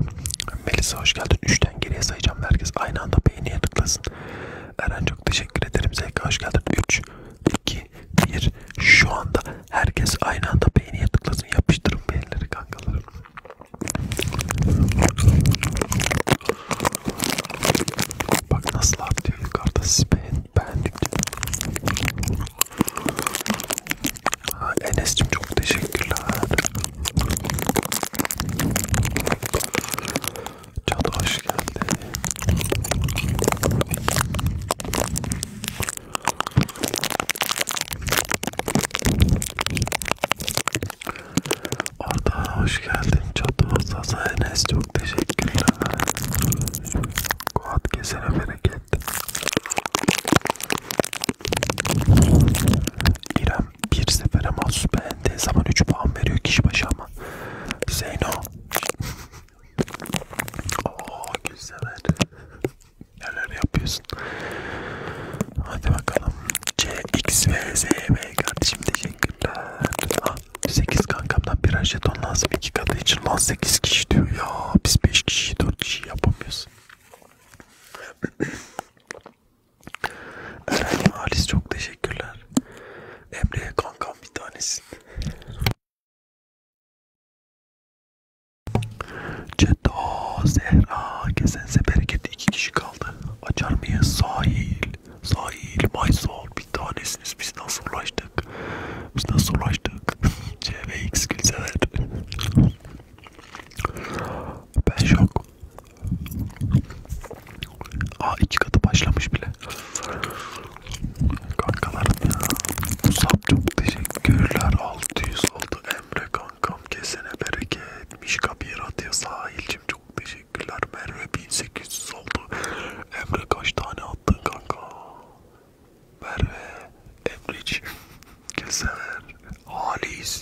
Melisa hoş geldin. Üçten geriye sayacağım herkes. Aynı anda beğeniye tıklasın. Eren çok teşekkür ederim. Zevka hoş geldin. 3, 2, 1. Şu anda herkes aynı anda beğeniye tıklasın. Yapıştırın beğenileri kankalarım. Bak nasıl artıyor yukarıda siz beğen, beğendikçe. Enes'cim çok teşekkürler. Cadı hoş geldi. Arda hoş geldin Cadı Sasa Enes çok teşekkürler. Kuat kesene bereket. İrem Bilmem bir sefere mahsus beğendiği zaman 3 puan veriyor kişi başı ama. Zeyno. Ooo [laughs] güzeler. Neler yapıyorsun? Hadi bakalım. C, X, V, Z, V kardeşim teşekkürler. Ah, 8 kankamdan birer jeton lazım. 2 katı için lan 8 kişi diyor. Ya biz 5 kişi 4 kişi yapamıyoruz. Eren Halis çok teşekkürler. Emre'ye kankam bir tanesin. Ceto Zehra kesense bereket iki kişi kaldı. Açar mıyız? Sahil. Sahil. Maysol bir tanesiniz. Biz nasıl ulaştık? Biz nasıl ulaştık? [laughs] CVX Gülsever. Ben şok. Aa iki katı başlamış bile. Kankalarım ya. Musab çok teşekkürler. 600 oldu Emre kankam. Kesene bereket. Mişka bir atıyor sahilcim. Çok teşekkürler. Merve 1800 oldu. Emre kaç tane attın kanka? Merve. Emre'ciğim. Keser. Halis.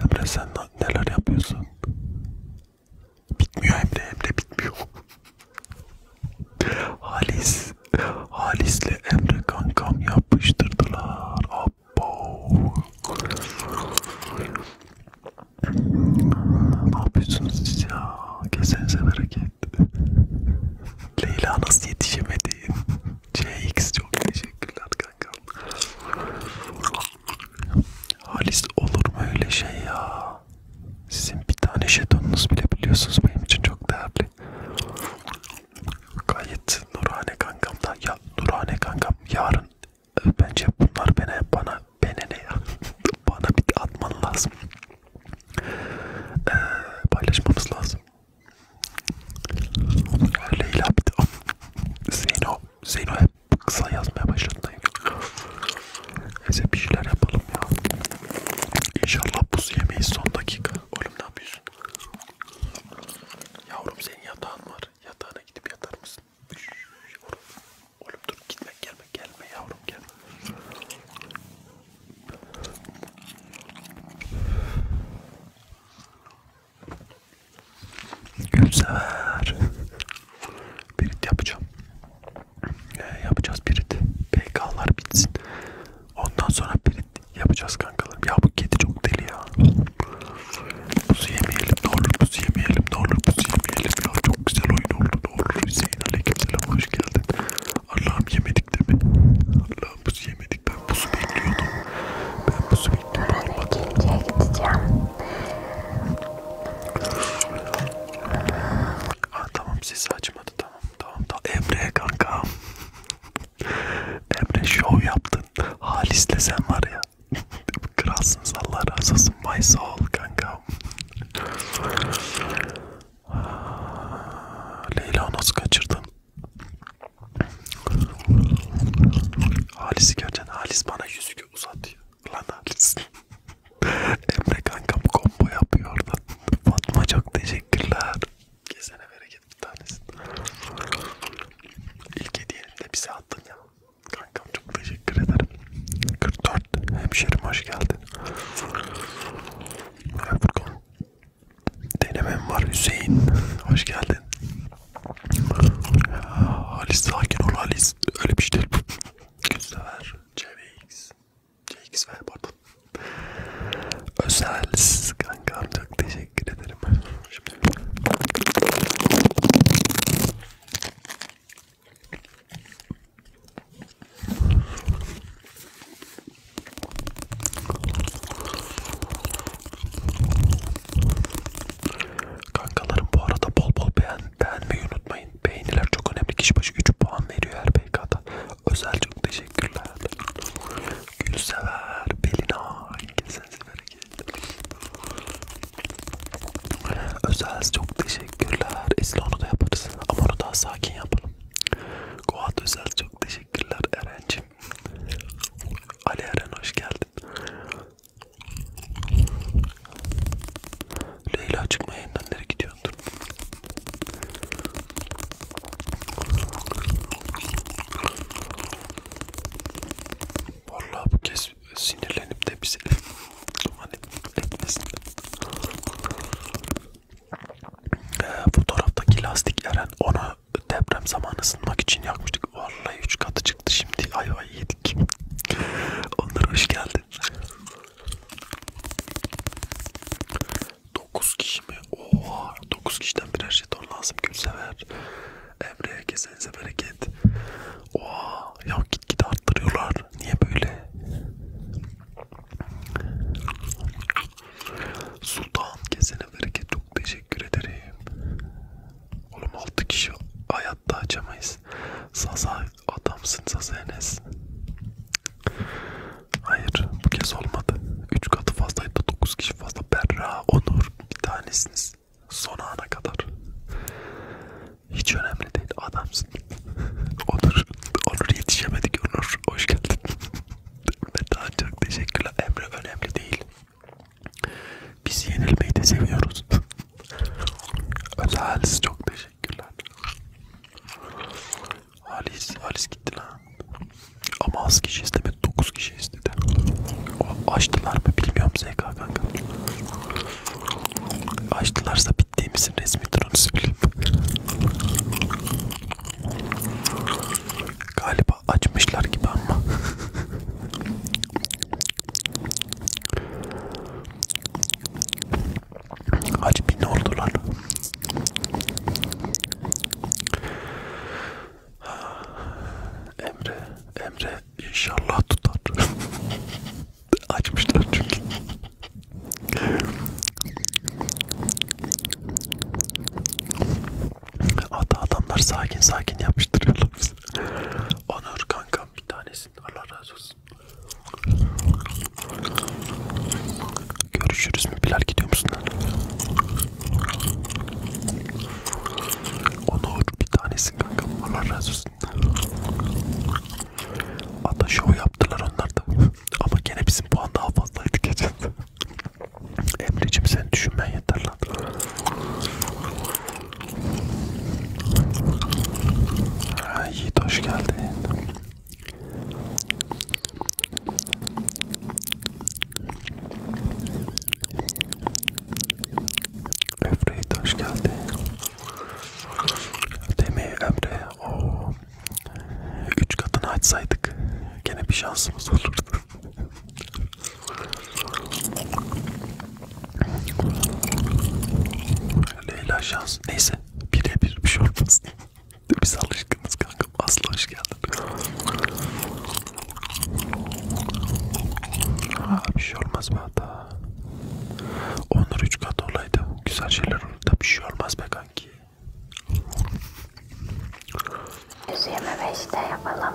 Emre sen neler yapıyorsun? Bitmiyor Emre, Emre bitmiyor. Halis, Halis'le Emre kankam yapıştırdılar. Abbo. Ne yapıyorsunuz siz ya? Kesenize bereket. Leyla nasıl yetişemedi? CX çok teşekkürler kankam. Halis olur mu öyle şey ya? Sizin bir tane jetonunuz bile biliyorsunuz benim için çok değerli. Gayet Nurhane kankam da ya Nurhane kankam yarın e, bence bunlar bana bana bana ne ya [laughs] bana bir atman lazım. Ee, paylaşmamız lazım. Leyla bir de Zeyno Zeyno hep kısa yazmaya başladım. Neyse bir şeyler yapalım ya. İnşallah buz yemeyiz son dakika. Oğlum ne yapıyorsun? Yavrum senin yatağın var. Yatağına gidip yatar mısın? Üş, oğlum. oğlum dur gitme gelme gelme yavrum gelme. Gülsever. Birit yapacağım. Ee, yapacağız birit. PK'lar bitsin. Ondan sonra birit yapacağız kankalarım. Ya bu kedi çok deli ya. Buzu yemeyelim ne olur. Buzu yemeyelim ne olur. Buzu yemeyelim ya. Çok güzel oyun oldu ne olur. Hüseyin aleykümselam hoş geldin. Allah'ım yemedik değil mi? Allah'ım buzu yemedik. Ben buzu bekliyordum. Ben buzu bekliyordum. Olmadı. Aa, tamam sizi açmadı tamam tamam da tamam. Emre kanka. Emre show yaptın. Halis'le sen var ya. Kralsın Allah razı olsun my soul kanka. Leyla nasıl kaçırdın? Halis'i göreceksin. Halis bana yüzük uzattı. Lan Halis. [laughs] Emre kankam kombo yapıyor oradan. Fatma çok teşekkürler. Kesene bereket bir tanesi. İlk hediyenin de bize attın ya. Kankam çok teşekkür ederim. 44 hemşerim hoş geldin. Merhaba Furkan. Denemem var Hüseyin. Hoş geldin. Halis sakin ol Halis. Cx öyle bir şey değil bu. Güzel. Cx. Cx ver pardon. Özelsiz kankam çok teşekkür ederim. Şimdi. Kankalarım bu arada bol bol beğen, beğenmeyi unutmayın. Beğeniler çok önemli. Kişi başı 3 puan veriyor her PK'da. Özel çok teşekkürler. Gülsever, Belina, herkese Özel çok teşekkürler. Esra onu da yaparız. Ama onu daha sakin yapalım. Goat Özel çok teşekkürler Eren'cim. Ali Eren hoş geldin. Leyla çıkma yayından nereye gidiyordur? Vallahi bu kez sinirlenip de bize duman etmesin. Ee, fotoğraftaki lastik Eren ona deprem zamanı ısınmak için yakmıştık. Vallahi üç katı çıktı şimdi. Ay ay geldik. Onlara hoş geldin. 9 kişi mi? Oha 9 kişiden birer jeton lazım Gülsever. Emre'ye kesenize bereket. Oha ya git git arttırıyorlar. Niye böyle? Sultan kesene bereket çok teşekkür ederim. Oğlum 6 kişi hayatta açamayız. Enes. Zaza adamsın Zaza Enes. Hayır bu kez olmadı. 3 katı fazlaydı 9 kişi fazla. Berra, Onur bir tanesiniz. Son ana kadar. Hiç önemli değil adamsın. [laughs] Onur, Onur yetişemedik Onur. Hoş geldin. [laughs] Metan çok teşekkürler. Emre önemli değil. Biz yenilmeyi de seviyoruz. [laughs] Özel çok teşekkürler. Halis, Halis gitti lan. Ama az kişi istemedi, 9 kişi istedi. O, açtılar mı bilmiyorum ZK kanka. Açtılarsa bittiğimizin resmi durunu söyleyeyim. Galiba açmışlar gibi ama. [laughs] Kaç bin oldu lan? Emre, Emre inşallah tutar. [laughs] Açmışlar çünkü. Hatta adamlar sakin sakin yapıştırıyorlar bizi. Onur kankam bir tanesi etsin. Allah razı olsun. Görüşürüz mü? Bilal gidiyor musun lan? Onur bir tanesin kankam. Allah razı olsun. Hatta şov yaptılar onlar da. [laughs] Ama gene bizim puan daha fazlaydı geçen. [laughs] Emre'cim sen düşünmen yeter lan. Yiğit hoş geldin. Emre hoş geldin. Demi Emre o üç katını açsaydık gene bir şansımız olurdu. Leyla şans. Neyse. Bire bir bir şey olmaz. [laughs] Biz alışkınız kankam. Aslı hoş geldin. Aa, bir şey olmaz be hata. Onur üç kat olaydı. Güzel şeyler olur da bir şey olmaz be kanki. Yüz yirmi beşte yapalım.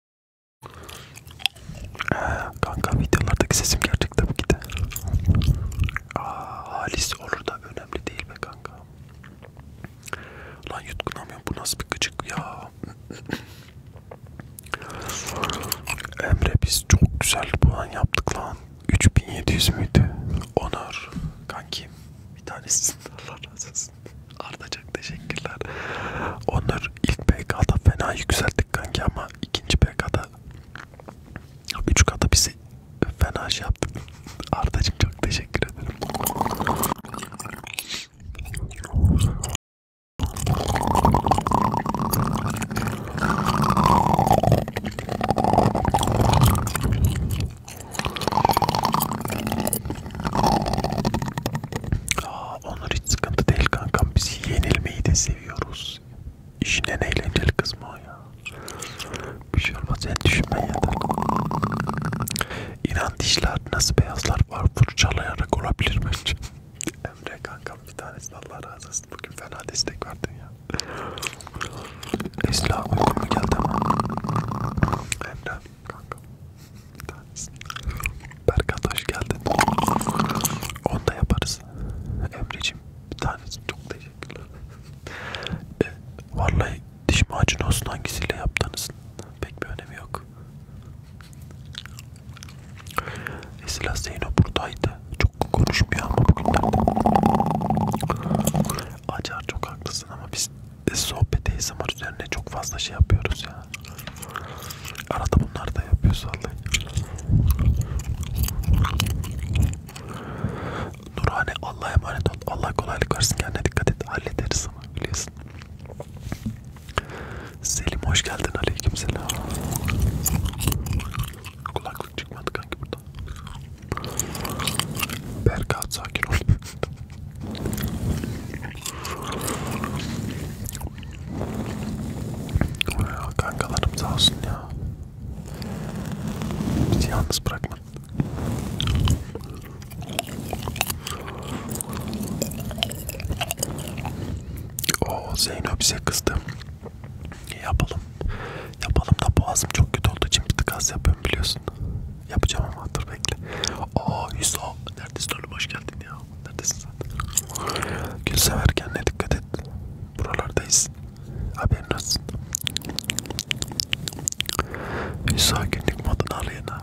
Ee, kanka videolardaki sesim gerçek tabii ki de. Aa, halis olur da önemli değil be kanka. Lan yutkunamıyorum bu nasıl bir gıcık ya. Emre biz çok güzel puan yaptık lan. 3700 müydü? Onur. Kankim bir tanesisin. Allah razı olsun. Arda çok teşekkürler. Onur ilk PK'da fena yükseldi girdik kanki ama ikinci PK'da 3 kata bizi fena şey yaptı. Ardacığım çok teşekkür ederim. Onur hiç sıkıntı değil kankam. Biz yenilmeyi de seviyoruz. İşin en eğlenceli kısmı o ya. Bir şey olmaz. Sen düşünme yeter. İran dişler nasıl beyazlar var? Fırçalayarak olabilir mi? [laughs] Emre kankam bir tanesi Allah razı olsun. Bugün fena destek verdin ya. Esla uygun mu geldi ama? Emre kankam. Bir tanesini. Berkat hoş geldin. Onu da yaparız. Emre'cim bir tanesini çok teşekkürler. E, vallahi diş macunu olsun hangisiyle yaptınız? Pek bir önemi yok. Esila Zeyno buradaydı. Çok konuşmuyor ama bugün Acar çok haklısın ama biz sohbet ASMR üzerine çok fazla şey yapıyoruz ya. Arada bunlar da yapıyor sallayın. Nurhane Allah'a emanet ol. Allah kolaylık versin kendine dikkat et. Hallederiz ama biliyorsun. Selim hoş geldin. Aleykümselam. Kulaklık çıkmadı kanki burada. Berkat sakin ol. Ya kankalarım sağ olsun ya. Bizi yalnız bırakma. O Zeyno bize kızdı. Yapalım. Yapalım da boğazım çok kötü olduğu için bir tık az yapıyorum biliyorsun. Yapacağım ama dur bekle. Aa Hüso neredesin oğlum hoş geldin ya ya. Neredesin sen? Gül sever kendine dikkat et. Buralardayız. Haberin olsun. Hüsa günlük modunu arayın ha.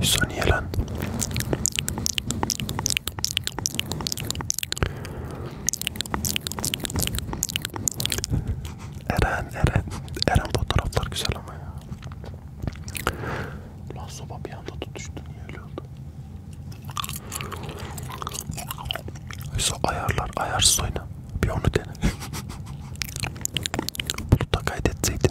Hüsa niye lan? Eren Eren Eren fotoğraflar güzel ama ya. Lan soba bir anda tutuştu niye öyle oldu? Oysa ayarlar ayarsız oyna. Bir onu dene. [laughs] Bunu da kaydetseydin.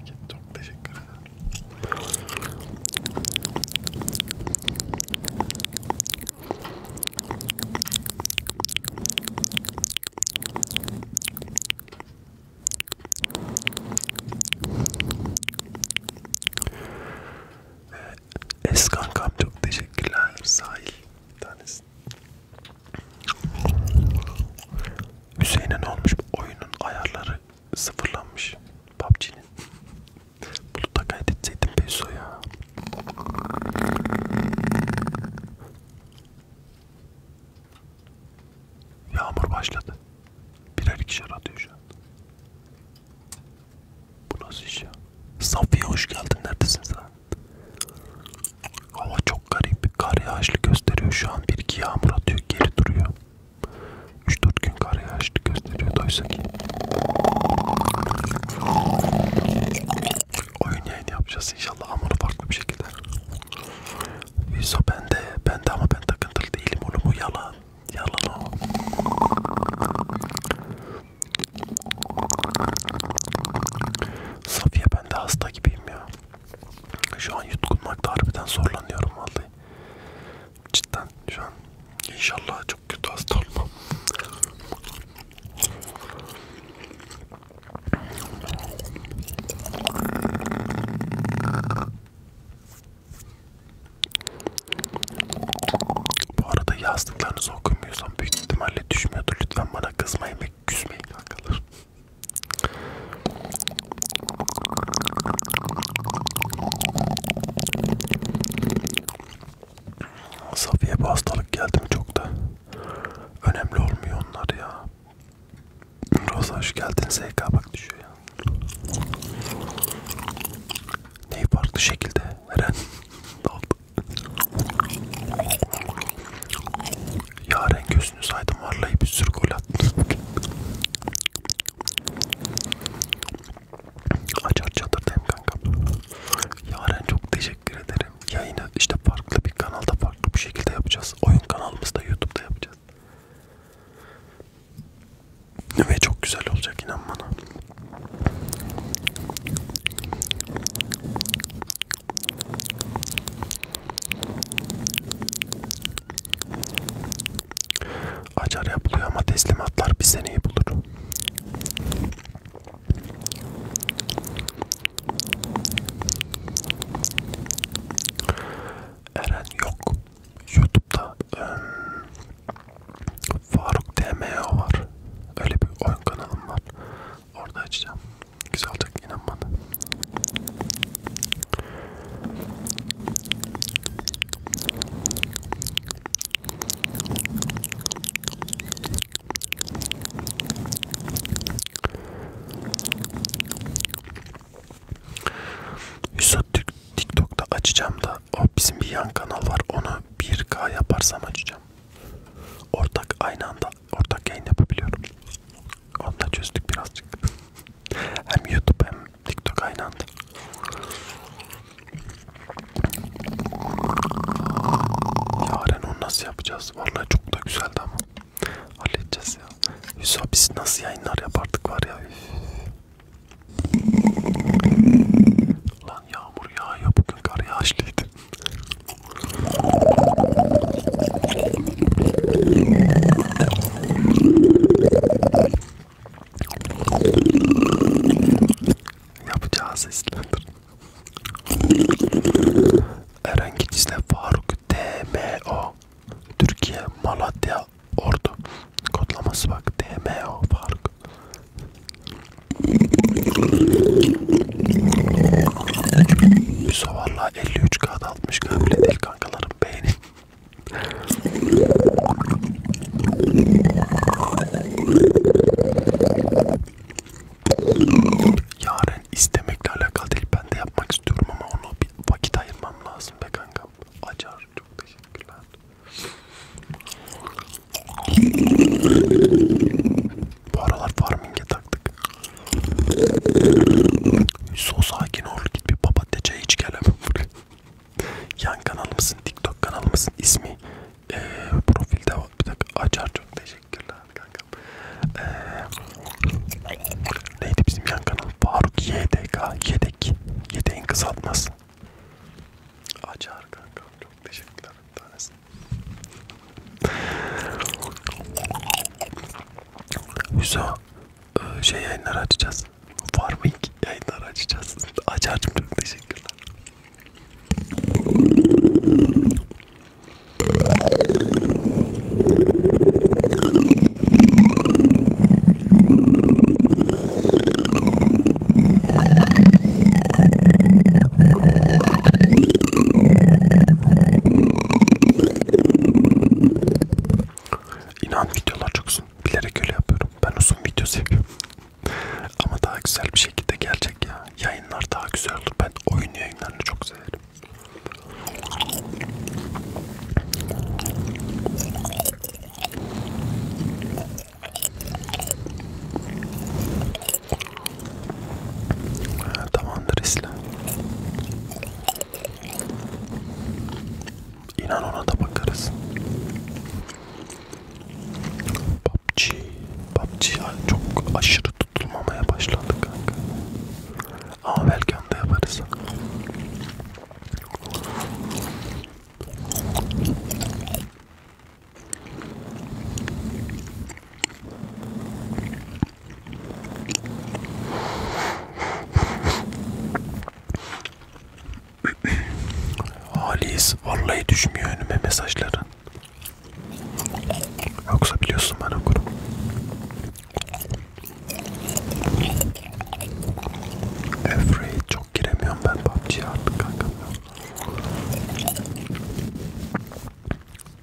Peki çok teşekkür ederim. Ee, Eskankam çok teşekkürler sahil bir tanesi. Hüseyin'e ne olmuş? Oyunun ayarları sıfırlanmış. PUBG'nin. [laughs] Bluetooth'a kaydetseydim Peso ya. Yağmur başladı. Birer ikişer atıyor şu an. Bu nasıl iş ya? Safiye hoş geldin. Neredesin sen? Hava çok garip. Kar yağışlı gösteriyor şu an. Bir iki yağmur atıyor. Geri duruyor. 3-4 gün kar yağışlı gösteriyor. Doysa ki. Oyun yayını yapacağız inşallah ama farklı bir şekilde. Viso bende. Bende ama ben takıntılı değilim. Onu mu yalan? Yalan o. Safiye ben de hasta gibiyim ya. Şu an yutkunmakta harbiden zorlanıyorum vallahi. Cidden şu an. İnşallah çok kötü hasta olmam. Bu arada yazdıklarınızı okumuyorsam büyük ihtimalle düşmüyordur. Lütfen bana kızmayın ve küsmeyin arkadaşlar. Safiye bu hastalık geldi mi çok da önemli olmuyor onlar ya. Roza hoş geldin ZK bak düşüyor ya. Neyi farklı şekilde Eren [laughs] ne oldu? Yaren göz düşünseydim vallahi bir sürü gol attım. Açar çatırdayım kankam. Yaren çok teşekkür ederim. Yayını işte farklı bir kanalda farklı bir şekilde yapacağız. Oyun kanalımızda YouTube'da yapacağız. Ve çok güzel olacak inan bana. Acar yapılıyor ama teslimatlar bir seneyi bulur. Eren yok. Youtube'da ıı, Faruk DMO var. Öyle bir oyun kanalım var. Orada açacağım. Güzel olacak inan bana. Yusuf TikTok'ta açacağım da o bizim bir yan kanal var onu 1K yaparsam açacağım. Ortak aynı anda ortak yayın yapabiliyorum. Onda çözdük birazcık. Hem YouTube hem TikTok aynı anda. Yaren onu nasıl yapacağız? Vallahi çok da güzeldi ama. Halledeceğiz ya. Hüsa biz nasıl yayınlar yapardık var ya. Lan yağmur yağıyor bugün kar yağışlıydı. Yapacağı seslendir. Eren Gidiz'le Faruk DMO Türkiye Malatya Ordu kodlaması bak DMO Faruk Yusof valla 53 kağıt 60 kabile değil kankalarım beğenin. Yarın istemekle alakalı değil. Ben de yapmak istiyorum ama onu bir vakit ayırmam lazım be kankam. Acar. Çok teşekkürler. Bu aralar farming'e taktık. So sakin ol git bir papatya çayı iç gelemem buraya. Yan kanalımızın TikTok kanalımızın ismi e, ee, profilde var. Bir dakika açar çok teşekkürler kankam. E, neydi bizim yan kanal? Faruk YDK yedek. Yedeğin kısaltması. Açar kankam çok teşekkürler bir tanesi. Hüso ee, şey yayınları açacağız. Farming yayınları açacağız. Açarcım çok teşekkürler. İnan videolar çok uzun. Bilerek öyle yapıyorum. Ben uzun video seviyorum. Ama daha güzel bir şekilde gelecek ya. Yayınlar daha güzel olur. Ben oyun yayınlarını çok severim. Ha, tamamdır Esla. İnan ona da bakarız. PUBG, PUBG yani çok aşırı tutulmamaya başladı kanka. Ama belki de yaparız. Halis vallahi düşmüyor önüme mesajların. Yoksa biliyorsun ben okurum. Every çok giremiyorum ben PUBG'ye artık kanka.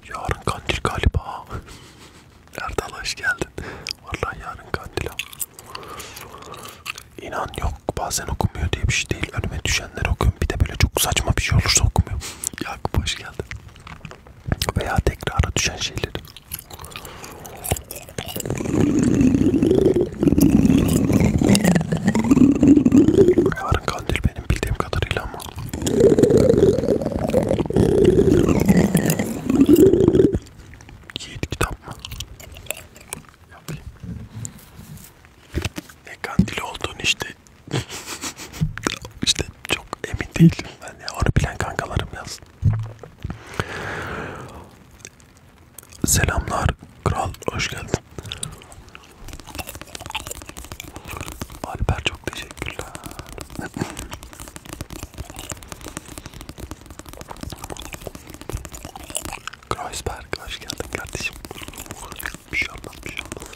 Yarın kandil galiba. Erdal hoş geldin. Vallahi yarın kandil İnan yok bazen okumuyor diye bir şey değil. Önüme düşenler okuyorum. Bir de böyle çok saçma bir şey olursa okumuyor. Yakup hoş geldin. Veya tekrara düşen şeyleri. Yarın kandil benim bildiğim kadarıyla ama. Yiğit kitap mı? Yapayım. Ne kandili olduğunu işte [laughs] işte çok emin değilim. Yani onu bilen kankalarım yazsın. Selamlar kral hoş geldin. Alper çok teşekkürler. Kreuzberg hoş geldin kardeşim. Bir şey olmaz, bir şey olmaz.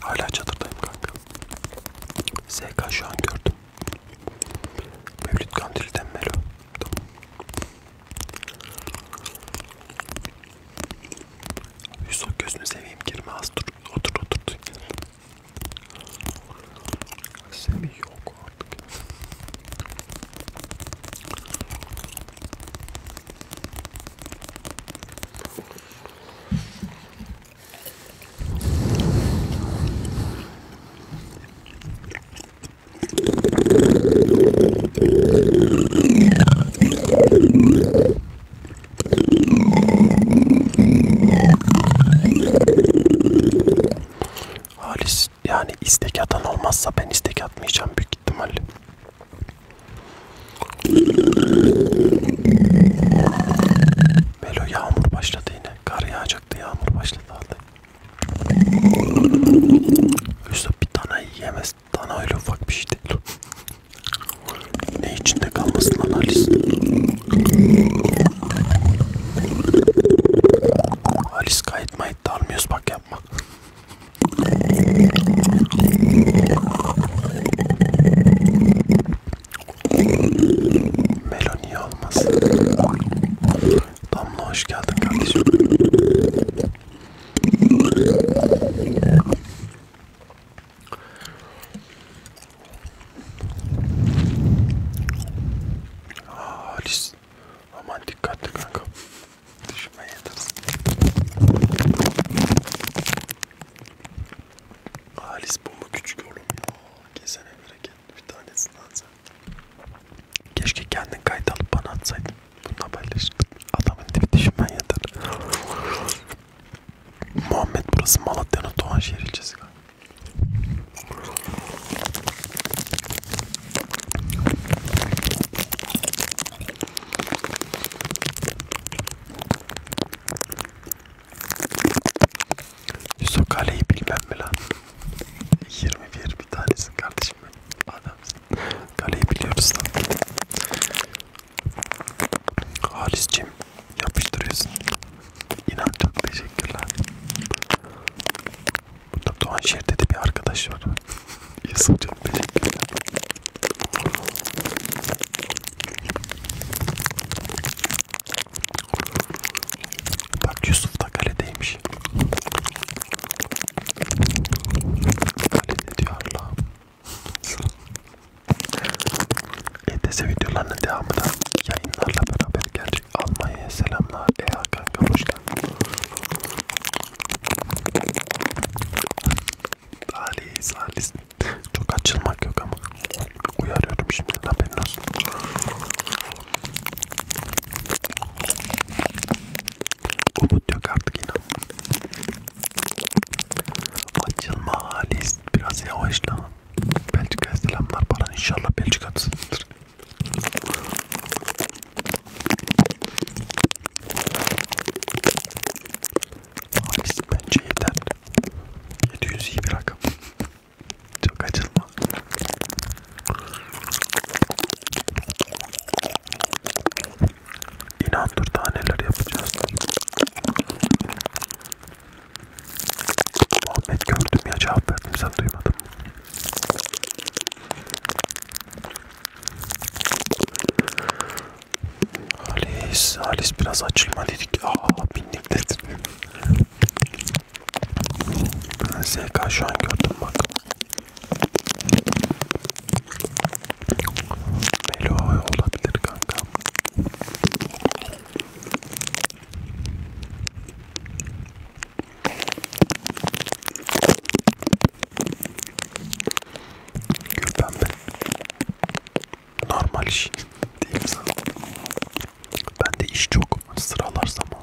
Hala çadırdayım kanka. SK şu an gördüm. Mevlüt Kandil'den Melo. Tamam. Yusuf gözünü seveyim girme az dur. Otur otur. Semi yok artık. Halis yani istek atan olmazsa ben istek atmayacağım büyük ihtimalle. Melo yağmur başladı yine. Kar yağacaktı yağmur başladı aldı. Üstü bir tane yiyemez. Dana öyle ufak bir şey değil. ne içinde kalmasın lan Alice. Alice kayıt mayıt da almıyoruz bak yapma. Meloni olmaz. Damla hoş geldin kardeşim. Aa, ah, Halis. Aman dikkatli kanka. Düşme yetersin. Halis bomba küçük oğlum ya. Kesene bereket bir tanesini alsam. Keşke kendin kayıt alıp bana atsaydın. Bununla paylaşırdım. Adamın tipi düşünmen yeter. Muhammed burası Malatya'nın Doğanşehir ilçesi galiba. Yusuf Ali'yi bilmem mi lan? 21 bir tanesin kardeşim benim. Adamsın. Kaleyi biliyoruz lan. Halis'cim yapıştırıyorsun. İnan çok teşekkürler. Burada Doğanşehir'de de bir arkadaş var. Yusuf çok teşekkürler. Bak Yusuf da kaledeymiş. Kalede diyorlar. ETS videolarının devamına yayınlarla beraber gelecek. Almanya'ya selamlar. Eya kanka hoş geldin. Halis, halis. Çok açılmak yok ama uyarıyorum şimdi haberin olsun. Umut yok artık inan. Açılma Halis biraz yavaşla. Belçika'ya selamlar Baran inşallah Belçika'dasındır. Halis bence yeter. 700 iyi bir rakam. Çok açılma. İnan dur daha neler yapacağız. Muhammed gördüm ya cevap verdim sen duymadın. Halis, Halis biraz açılma dedik. Aa bindik dedim. SK şu an gördüm bak. Melo olabilir kanka. Gül pembe normal iş değil zaten. Ben de iş çok sıralarsam o.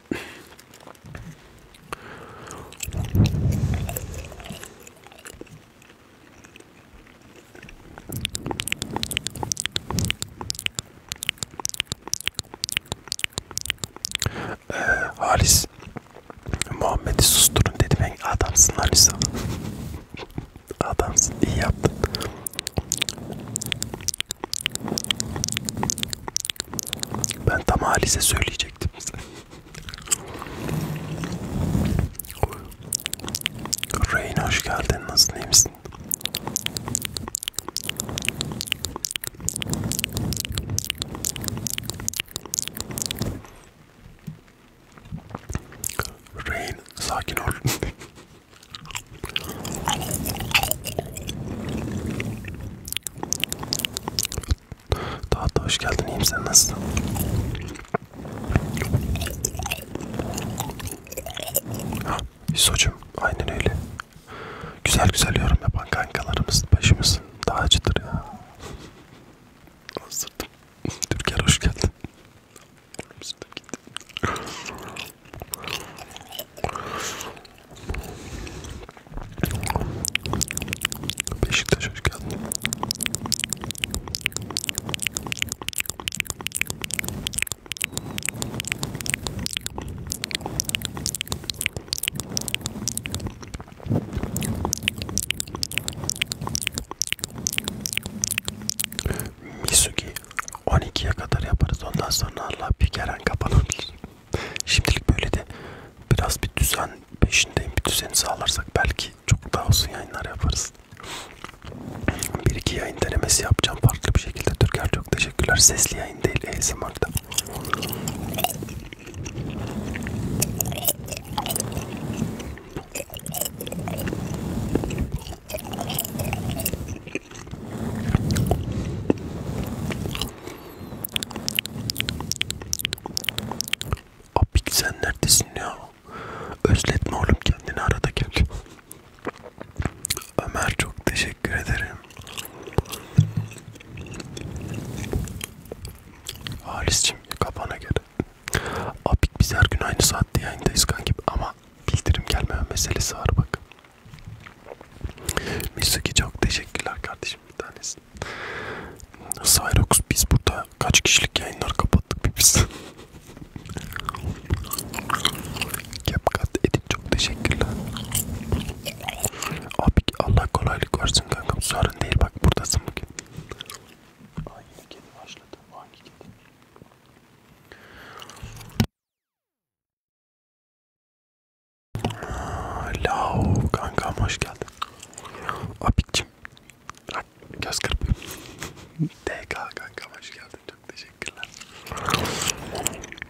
Ee, Halis Muhammed'i susturun dedi ben adamsın Halis adamsın iyi yaptın ben tam Halis'e söyleyecektim Rain hoş geldin. Nasılsın? İyi misin? Rain sakin ol. Daha da hoş geldin. İyiyim sen nasılsın? Ha, İso'cum aynen öyle. Güzel güzel yorum yapan kankalarımız başımız daha acıdır ya. Hazırdım. Türker hoş geldin. Beşiktaş hoş geldin. Misugi 12'ye kadar yaparız. Ondan sonra Allah bir keren kapanabilir. Şimdilik böyle de biraz bir düzen peşindeyim. Bir düzeni sağlarsak belki çok daha uzun yayınlar yaparız. Bir iki yayın denemesi yapacağım farklı bir şekilde. Türker çok teşekkürler. Sesli yayın değil ASMR'da. Abik sen neredesin ya? Özletme oğlum kendini arada gel. Ömer çok teşekkür ederim. Halis'cim kafana gel. Abik biz her gün aynı saatte yayındayız kankim ama bildirim gelmeyen meselesi var bak. Misuki çok teşekkürler kardeşim bir tanesi. Cyrox biz burada kaç kişilik yayınlar kapattık bir biz. Yapkat edin çok teşekkürler. Abi Allah kolaylık versin kankam sorun değil bak buradasın bugün. Hangi kedi başladı? Hangi kedi? Lao kankam hoş geldin. Abicim. Göz kırpayım. [laughs] DK kankam hoş geldin. Çok teşekkürler.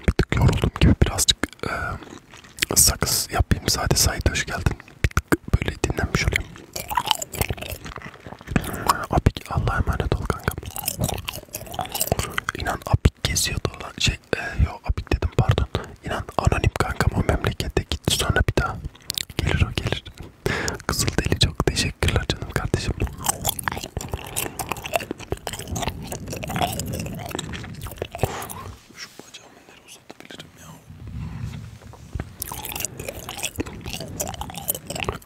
Bir tık yoruldum gibi birazcık e, sakız yapayım. Sade Said hoş geldin. Bir tık böyle dinlenmiş olayım. Abik Allah'a emanet ol kankam. İnan abik geziyordu. Şey e, yo abik dedim pardon. İnan anonim kankam o memlekete git sonra bir daha. Gelir o gelir. Kızılderili çok teşekkürler canım kardeşim. Şu bacağımı nereye uzatabilirim ya?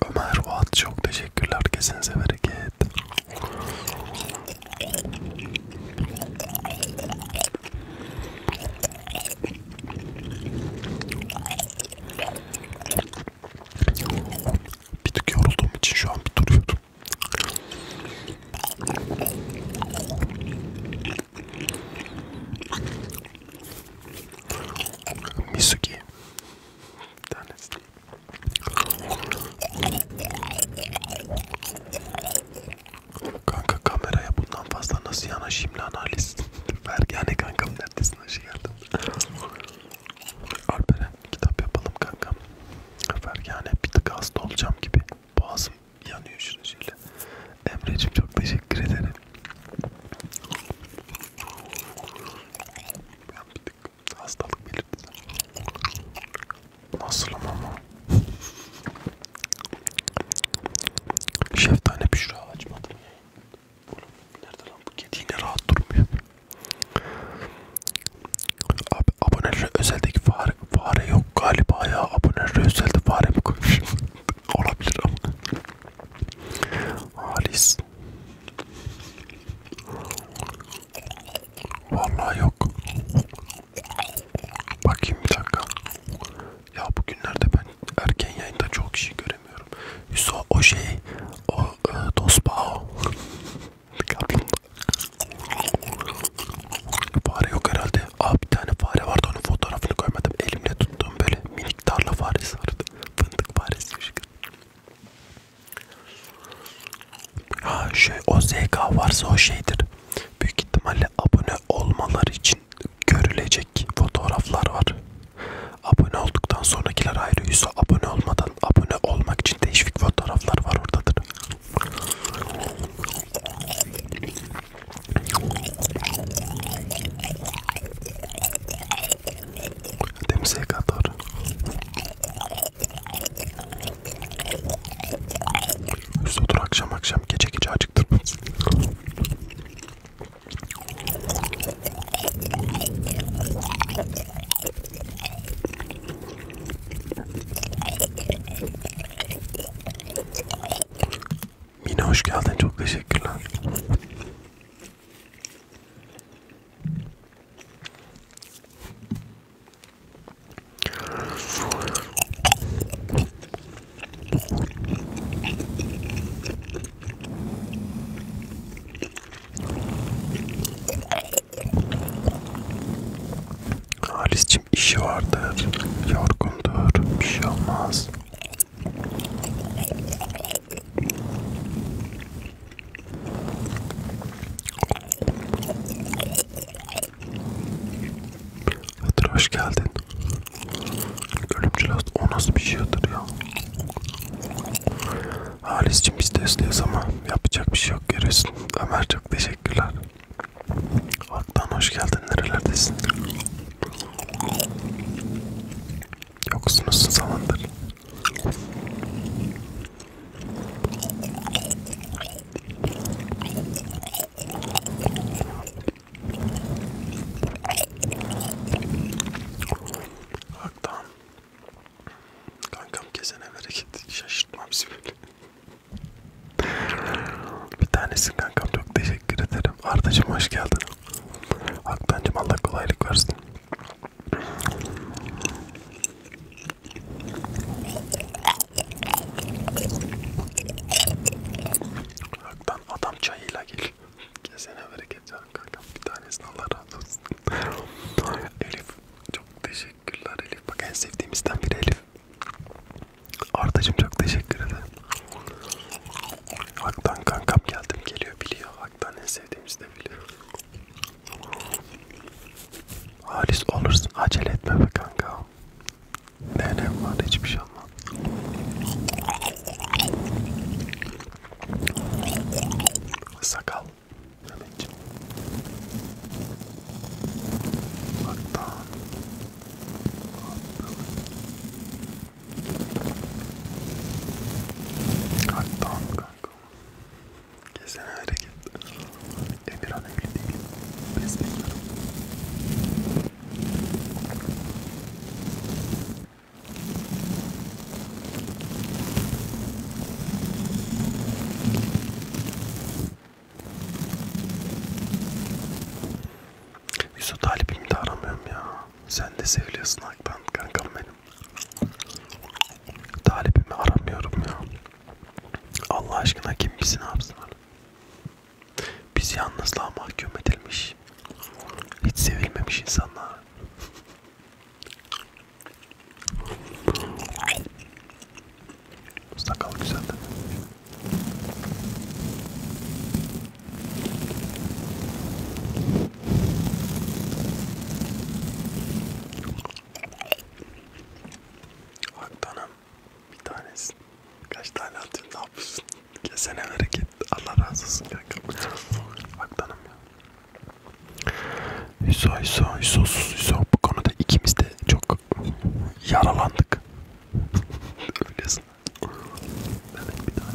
Ömer Fuat çok teşekkürler. Kesinize bereket. Bir tık yorulduğum için şu an bir duruyorum. Misuki tanesi. Kanka kameraya bundan fazla nasıl yanaşayım lan Halis? [laughs] Ver yani kankam neredesin hoş geldin. Alperen kitap yapalım kankam. Ver yani bir tık hasta olacağım gibi. Boğazım yanıyor şunu şöyle. Emre'cim çok teşekkür ederim. Ben bir tık hastalık belirtisi. Nasılım ama? Şeftane Büşra açmadım yayın. Oğlum nerede lan bu kedi yine rahat durmuyor. Abi abonelere özeldeki fare, fare yok galiba ya. Abonelere özelde fare mi koymuş? [laughs] Olabilir ama. Halis. Vallahi yok. Bakayım bir dakika. Ya bugünlerde ben erken yayında çok kişi göremiyorum. Hüso o şey, o e, Dospao. fare yok herhalde. Abi bir tane fare vardı onun fotoğrafını koymadım. Elimle tuttuğum böyle minik tarla faresi vardı. Fındık faresi. Ha şey o ZK varsa o şeydir büyük ihtimalle abone olmaları için görülecek fotoğraflar var. Abone olduktan sonrakiler ayrı yüzü abone olmadan abone olmak için değişik fotoğraflar var oradadır. Denize kadar. Üst otur akşam akşam gece gece acıktırmaz. Mine hoş geldin çok teşekkürler. Halis'cim işi vardır, yorgundur, bir şey olmaz. Hıdır hoş geldin. Ölümcül hasta. O nasıl bir şey Hıdır ya? Halis'cim biz testliyiz ama yapacak bir şey yok görüyorsun. Ömer çok teşekkürler. Aktan hoş geldin. Nerelerdesin? Yoksunuzsun zamandır. Haktan. Kankam kesene bereket. Şaşırtmam sizi böyle. Bir tanesin kankam çok teşekkür ederim. Ardacım hoş geldin. Haktancım Allah kolaylık versin. Haktan adam çayıyla gel. Kesene bereket canım kankam. Bir tanesini Allah razı olsun. Elif çok teşekkürler Elif. Bak en sevdiğimizden biri Elif. Ardacım çok teşekkür ederim. Haktan kankam geldim geliyor biliyor. Haktan en sevdiğimizi de biliyor. Halis olursun acele etme be kanka. Nenem var hiçbir şey almam. Sakal. Neneciğim. Hatta. Hatta kanka. Kesene hareket. Emirhan evli değil. Biz bekliyorum. Yusuf talibimi de aramıyorum ya. Sen de seviyorsun Akban kankam benim. Talibimi aramıyorum ya. Allah aşkına kim bizi ne yapsın? Biz yalnızlığa mahkum edilmiş, hiç sevilmemiş insanlar. Sakal güzel değil mi? Haktanım bir tanesi. Kaç tane atıyorsun ne yapıyorsun? Kesene hareket. Allah razı olsun kanka. Aktanım ya. Hüso hüso hüso sus hüso. Bu konuda ikimiz de çok yaralandık. Öylesin. Evet bir tane.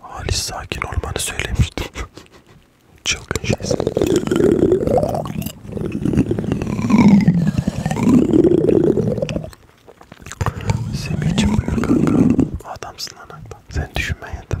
Halis sakin olmanı söylemiştim. [laughs] Çılgın şeysin. Semih'cim buyur kanka. Adamsın anakta. Sen düşünmen yeter.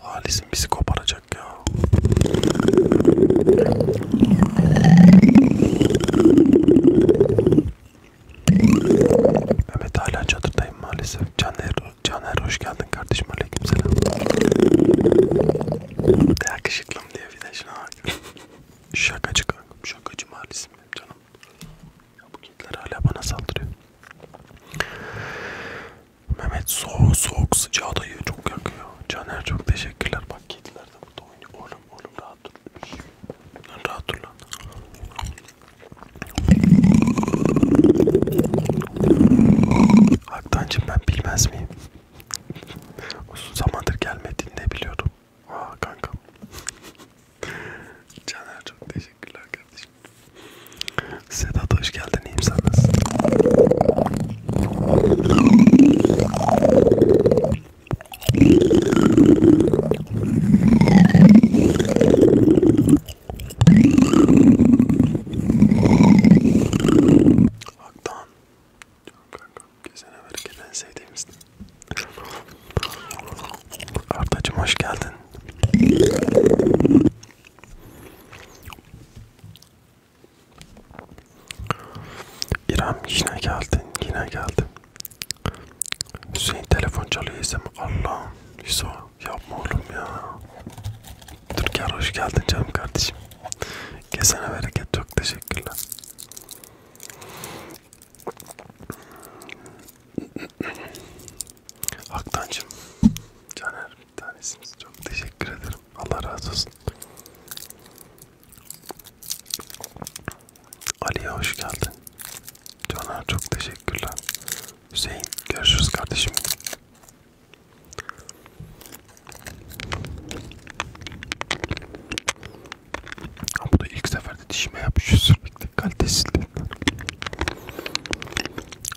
Halisim bizi koparacak ya. Mehmet hala çadırdayım maalesef. Caner, Caner hoş geldin kardeşim. Aleykümselam. Yakışıklım diye bir de şuna bak. Şakacı kankam. Şakacı maalesef canım. Bu kediler hala bana saldırıyor. Mehmet soğuk soğuk sıcağı dayı çok yakıyor. Caner çok teşekkürler. Bak kediler de burada oynuyor. Oğlum oğlum rahat dur. Lan rahat dur lan. Haktancım ben bilmez miyim? Uzun zamandır gelmediğini de biliyordum. Aa kankam. Caner çok teşekkür Teşekkürler kardeşim. Sedat hoş geldin. İyiyim sen nasılsın? Aktan. Canım kanka. Gezene bereket en sevdiğimizdi. Ardacım hoş geldin. İrem yine geldin, yine geldin. Hüseyin telefon çalıyor isem. Allah'ım Hüso yapma oğlum ya. Türker hoş geldin canım kardeşim. Kesene bereket çok teşekkürler. Haktancım, Caner bir tanesiniz. Çok teşekkür ederim. Allah razı olsun. Ali'ye hoş geldin. Caner çok teşekkürler. Hüseyin görüşürüz kardeşim. Ama da ilk seferde dişime yapışıyor sürekli kalitesizliğinden.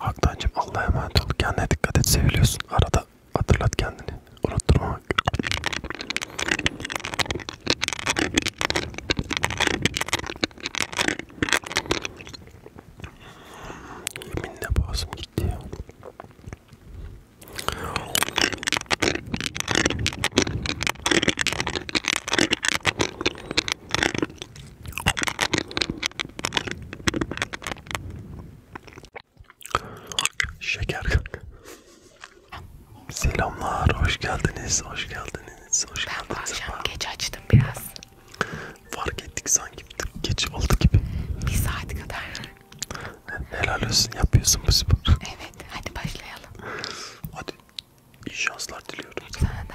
Haktancım Allah'a emanet ol. Kendine dikkat et seviliyorsun. Arada hatırlat kendini. Unutturma. Yeminle boğazım gitti ya. Şeker kanka. Selamlar, hoş geldiniz, hoş geldiniz, hoş geldiniz. Ben bu akşam geç açtım biraz. Fark ettik sanki geç oldu gibi. Bir saat kadar. Helal olsun, yapıyorsun bu spor. Evet, hadi başlayalım. Hadi, iyi şanslar diliyorum. Sana da.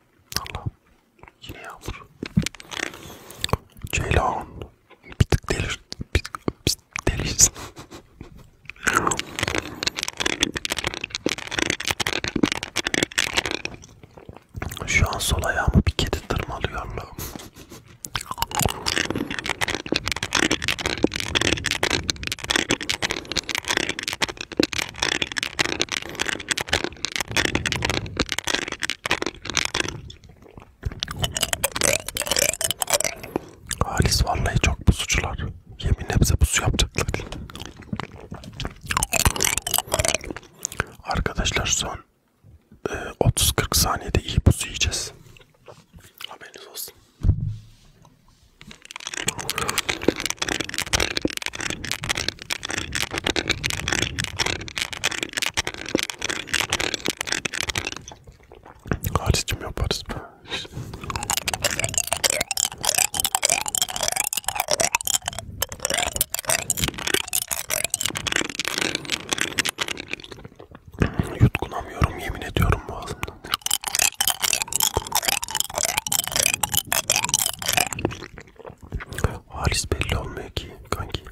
Allah'ım yine yağmur. Ceylan bir tık delir, bir tık, bir tık delirsin. [laughs] Şu an sol ayağımı bir kedi tırmalıyor Allah'ım. Halis vallahi çok pusucular. Yeminle bize pusu yapacaklar. Arkadaşlar son e, 30-40 saniyede iyi pusu yiyeceğiz. Haberiniz olsun. Haricim yaparız be. Yutkunamıyorum yemin ediyorum boğazımdan. Haris belli olmuyor ki kanki.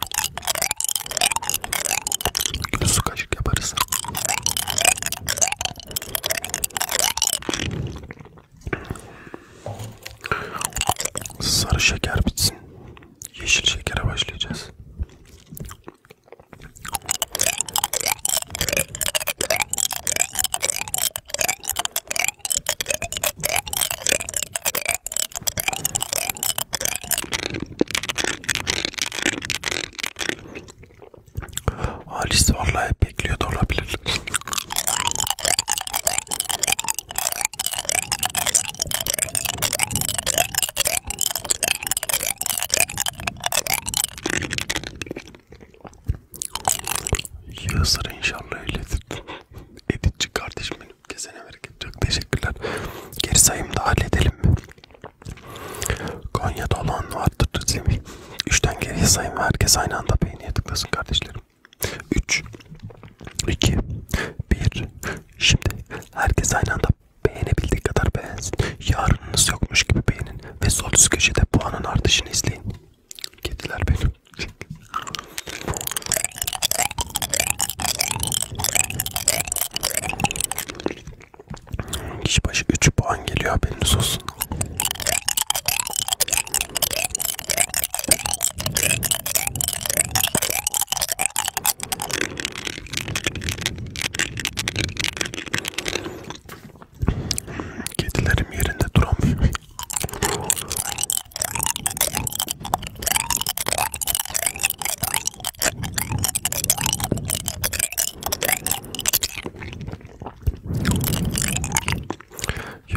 Gül su kaşık yaparız. Sarı şeker bitsin. Yeşil şekere başlayacağız. Halis vallahi bekliyor da olabilir. Yığızları inşallah öyledir. [laughs] Editçi kardeşim benim. Kesene bereket. Çok teşekkürler. Geri sayımı da halledelim mi? Konya'da olan vardır Semih. Üçten geriye sayın ve herkes aynı anda beğeniye tıklasın kardeşlerim. Üç, iki, bir. Şimdi herkes aynı anda beğenebildiği kadar beğensin. Yarınınız yokmuş gibi beğenin ve sol üst köşede puanın artışını izleyin. Kediler benim. Kişi başı 3 puan geliyor haberiniz olsun. Kedilerim yerinde duramıyor.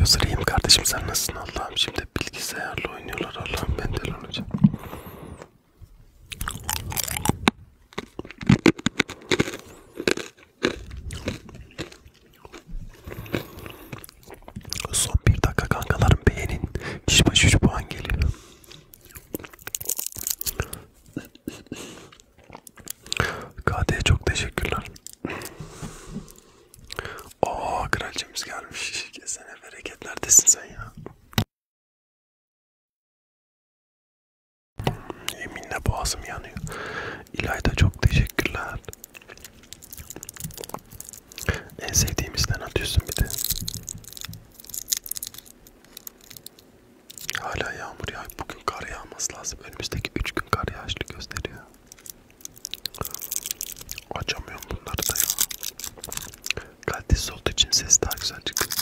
Yazırayım kardeşim sen nasılsın Allah'ım şimdi bilgisayarla oynuyorlar Allah'ım ben de olacağım. Son bir dakika kankalarım beğenin. Kişi başı 3 puan geliyor. KD'ye çok teşekkürler. Oo kraliçemiz gelmiş. [laughs] Kesene bereket neredesin sen ya? Yeminle boğazım yanıyor. İlayda çok teşekkürler. En sevdiğimizden atıyorsun bir de. Hala yağmur yağıyor. Bugün kar yağması lazım. Önümüzdeki 3 gün kar yağışlı gösteriyor. Açamıyorum bunları da ya. Kalitesiz olduğu için ses daha güzel çıkıyor.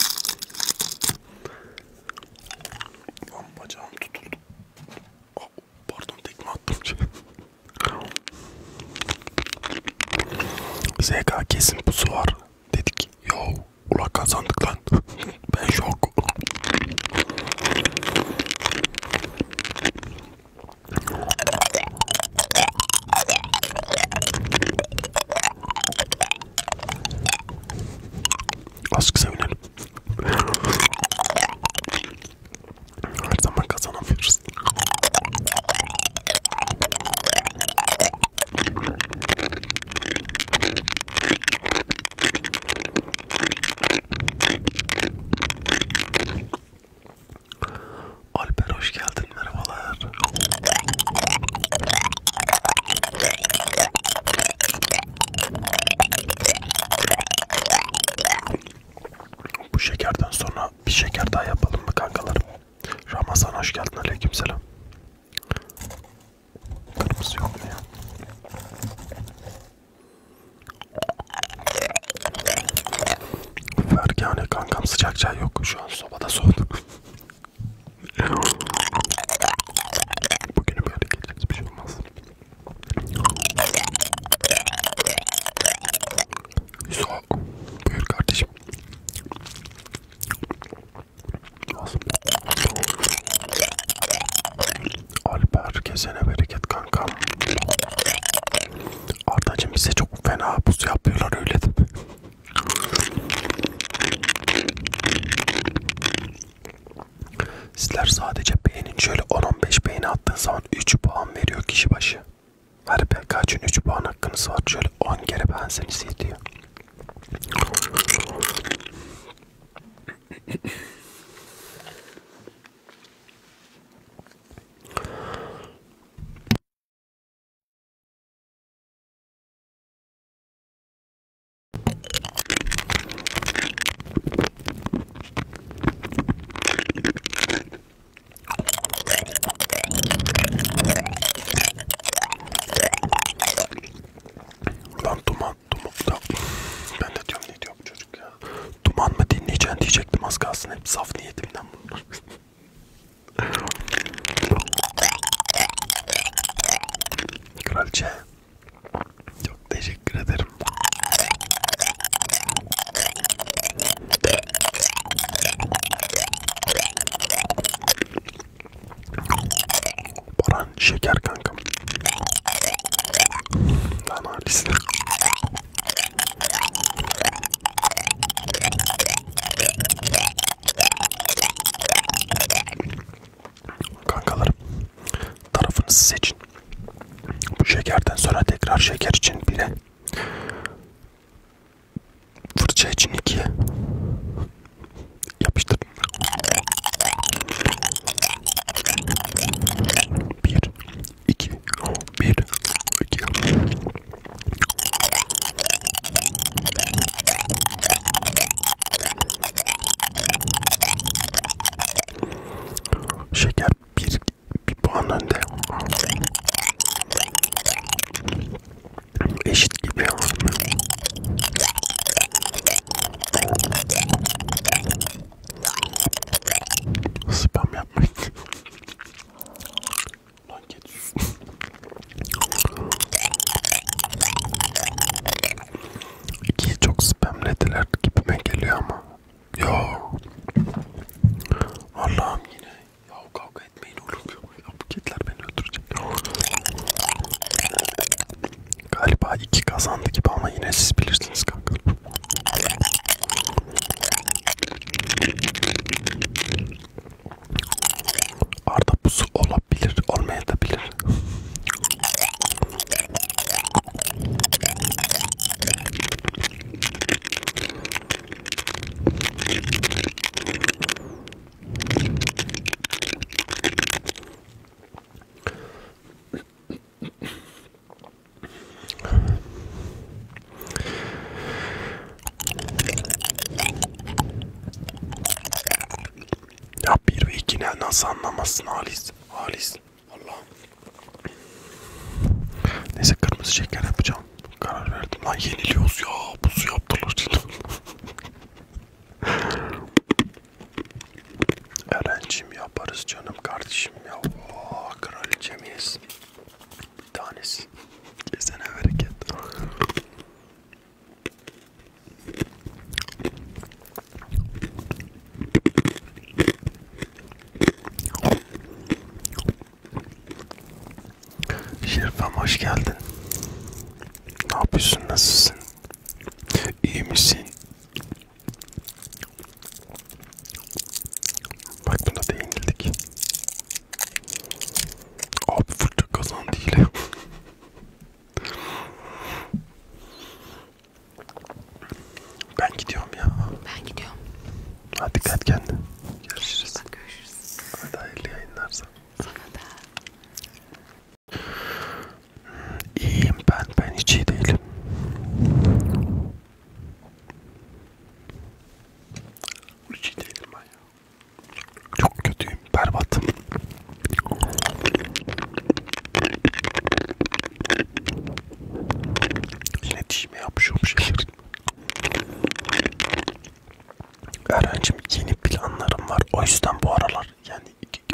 Bam bacağım tutuldu. Oh. Pardon tekme attım. ZK kesin pusu var dedik. Yo ula kazandık lan. [laughs] ben şok. Aşk sevinelim. Her zaman kazanamıyoruz. Alper hoş geldin merhabalar. Bu şekerden sonra bir şeker daha yapalım mı kankalarım? Ramazan hoş geldin aleykümselam. Kırmızı yok mu ya? Fergane kankam sıcak çay yok. Şu an sobada soğudu. [laughs] Bugünü böyle geçeceğiz bir şey olmaz. Yusuf, buyur kardeşim. Nasıl? Alper kesene bereket kankam. Ardacığım bize çok fena buz yapıyorlar öyle de. Sizler sadece beğenin şöyle 10-15 beğeni attığın zaman 3 puan veriyor kişi başı. Her PKC'nin 3 puan hakkınız var. Şöyle 10 kere ben seni sil diyor. Lan duman, duman da. Ben de diyorum ne diyor bu çocuk ya. Duman mı dinleyeceksin diyecektim az kalsın. Hep saf niyetimden bunlar. Kraliçe. Çok teşekkür ederim. Baran şeker kankam. Lan halisi. Kankalarım tarafınızı seçin. Bu şekerden sonra tekrar şeker için bire, fırça için ikiye yapıştır. Bir, iki, bir, iki. Şeker bir, bir puan önde eşit gibi spam yapmayın lan geç İkiyi çok spamlediler gibime geliyor ama ya. Allah'ım yine. Ya kavga etmeyin oğlum. Ya bu kediler beni öldürecek. Galiba iki kazandı gibi ama yine siz bilirsiniz kanka. Arda buzu olabilir, olmayabilir. Ya bir ve ikini nasıl anlamazsın Halis? Halis. Vallahi. Neyse kırmızı şeker yapacağım. Karar verdim. Lan yeniliyoruz ya. Buz yaptılar. [laughs] Erencim yaparız canım kardeşim ya. Oh, kraliçe miyiz? Bir tanesi. Kesene bereket. Şerifem hoş geldin. Ne yapıyorsun? Nasılsın? İyi misin? Bak buna da yenildik. Abi fırça kazandı yine. [laughs] Ben gidiyorum ya. Ben gidiyorum. Hadi dikkat kendine. Görüşürüz. Bak, görüşürüz. Hadi hayırlı yayınlar sana. Sana da. İyiyim ben. Ben hiç iyi değilim. Hiç iyi değilim ben ya. Çok kötüyüm. Berbatım iletişime yapışıyorum şeyler. Öğrencim yeni planlarım var. O yüzden bu aralar yani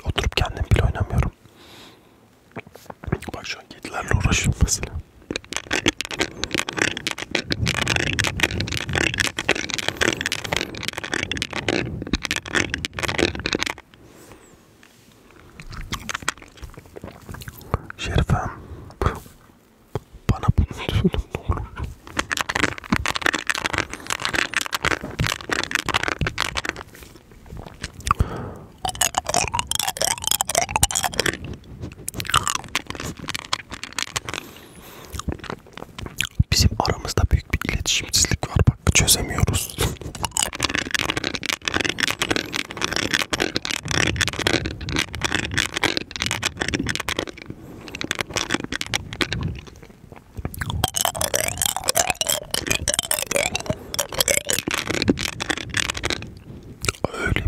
oturup kendim bile oynamıyorum. Bak şu an kedilerle uğraşıyorum mesela. Şerifem bana bunu [laughs] söyle ne olur. Bizim aramızda büyük bir iletişimsizlik var bak çözemiyoruz. [laughs] Öyle bir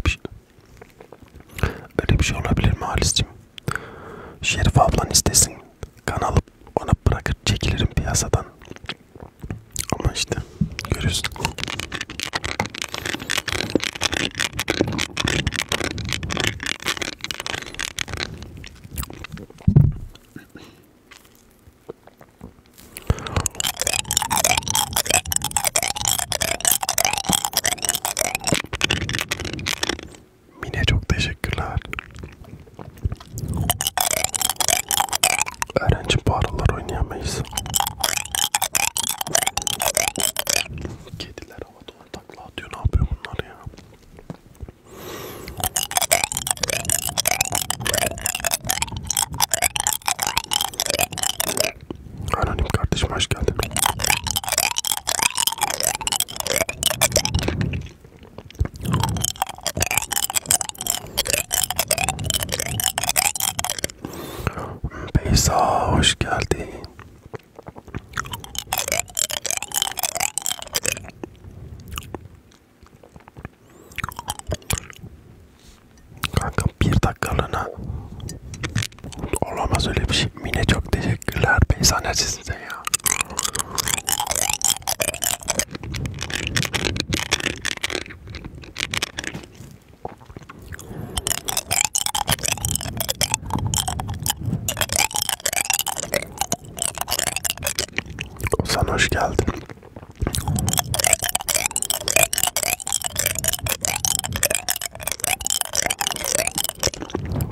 şey. Öyle bir şey olabilir mi Halis'cim? Şerif ablan istesin. Kanalı ona bırakır çekilirim piyasadan. Ama işte görüyorsun. Mine çok teşekkürler. Eren'cim bu aralar oynayamayız. Kediler havada ona takla atıyor. Ne yapıyor bunlar ya? Anonim kardeşim hoş geldin. Beyza hoş geldin. Kanka bir dakikalığına olamaz öyle bir şey. Mine çok teşekkürler. Beyza neredesin ya? Sen hoş geldin.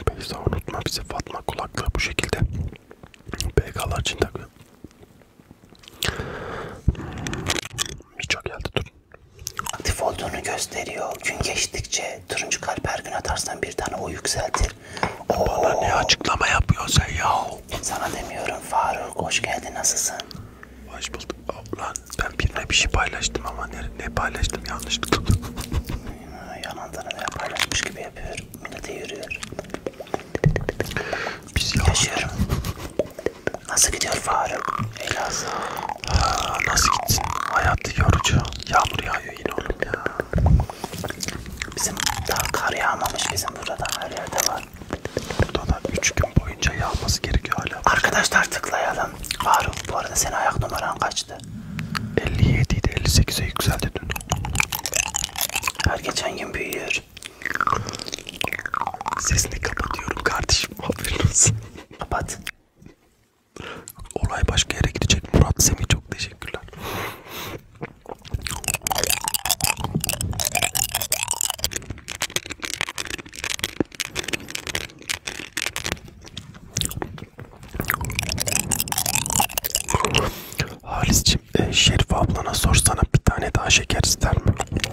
Beyza unutma bizi Fatma kulaklığı bu şekilde. BK'lar için takıyor. Birçok geldi dur. Aktif olduğunu gösteriyor. Gün geçtikçe turuncu kalp her gün atarsan bir tane o yükseltir. Oo. Bana ne açıklama yapıyorsun sen ya? Sana demiyorum Faruk hoş geldin nasılsın? Hoş bulduk. Lan ben birine bir şey paylaştım ama ne, ne paylaştım yanlışlıkla. [laughs] Yalandan öyle paylaşmış gibi yapıyorum. Millete yürüyor. Biz yalan. Yaşıyorum. Nasıl gidiyor Faruk? Elazığ. Aa, nasıl gitsin? Hayat yorucu. Yağmur yağıyor yine oğlum ya. Bizim daha kar yağmamış bizim burada her yerde var. Burada da 3 gün boyunca yağması gerekiyor hala. Arkadaşlar tıklayalım. Faruk bu arada senin ayak numaran kaçtı? 57 idi 58'e yükseldi dün. Her geçen gün büyüyor. Sesini kapatıyorum kardeşim. Aferin olsun. Kapat. Olay başka yere gidecek. Murat Semih çok teşekkürler. Halis'cim e, Şerif ablana sorsana bir tane daha şeker ister mi?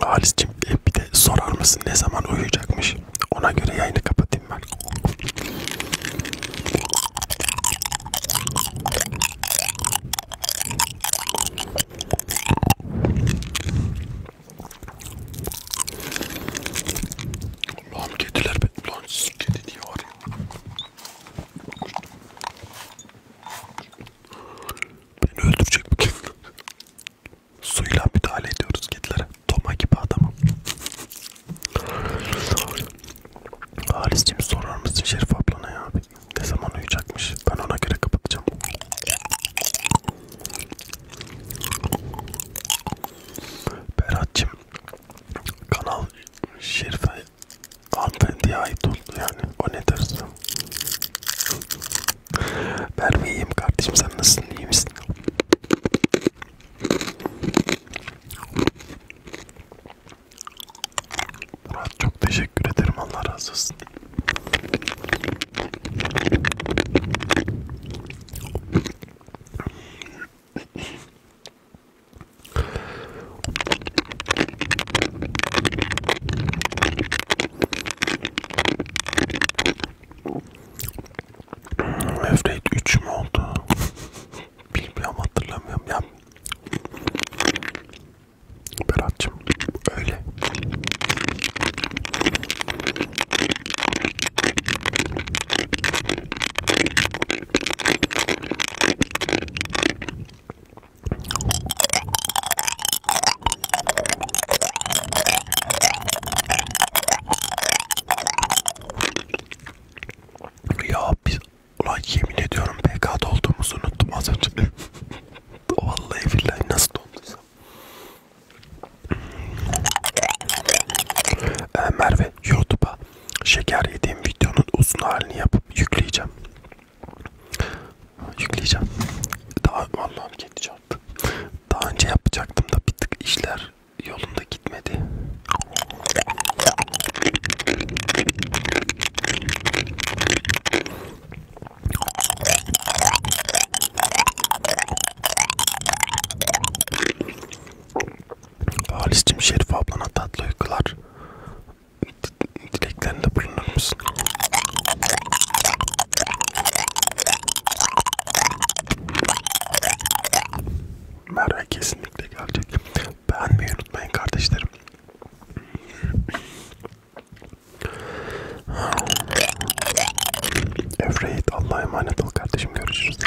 Halis'cim e, bir de sorar mısın ne zaman uyuyacakmış? Ona göre yayını kapatayım ben. Lan kediler be. Lan kedi diye var ya. Beni öldürecek bu kedi. Suyla müdahale ediyoruz kedilere. Toma gibi adamım. Halis'cim sorar mısın Şerif ablana ya? Ne zaman uyuyacakmış? Ben ona göre kapatacağım. Berat'cim kanal Şerif'e hanımefendiye ait oldu yani. O ne dersin? Ben mi iyiyim kardeşim sen nasılsın iyi misin? Murat çok teşekkür ederim Allah razı olsun. Evrate 3 mü oldu? Bilmiyorum hatırlamıyorum ya. Berat'cığım öyle. Ya biz ulan yemin ediyorum PK'da olduğumuzu unuttum az önce. [laughs] Vallahi billahi nasıl donduysam. Ee, Merve YouTube'a şeker yediğim videonun uzun halini yapıp yükleyeceğim. Yükleyeceğim. Daha vallahi çarptı. Daha önce yapacaktım da bir tık işler yolunda gitmedi. Halis'cim Şerif ablana tatlı uykular. Dileklerinde bulunur musun? Merve kesinlikle gelecek. Beğenmeyi unutmayın kardeşlerim. Evreyit Allah'a emanet ol kardeşim görüşürüz.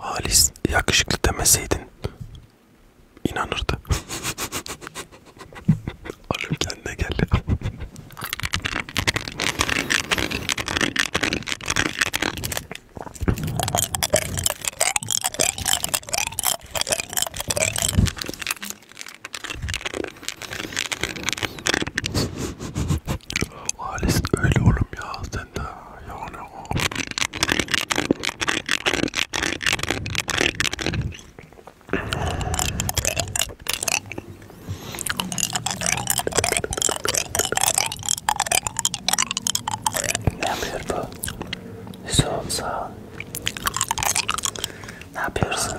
Halis yakışıklı demeseydin inanırdı. Oğlum [laughs] kendine gel ya. Halis öyle oğlum ya sen de yani o. Ne yapıyor bu? Son sağ Ne yapıyorsun?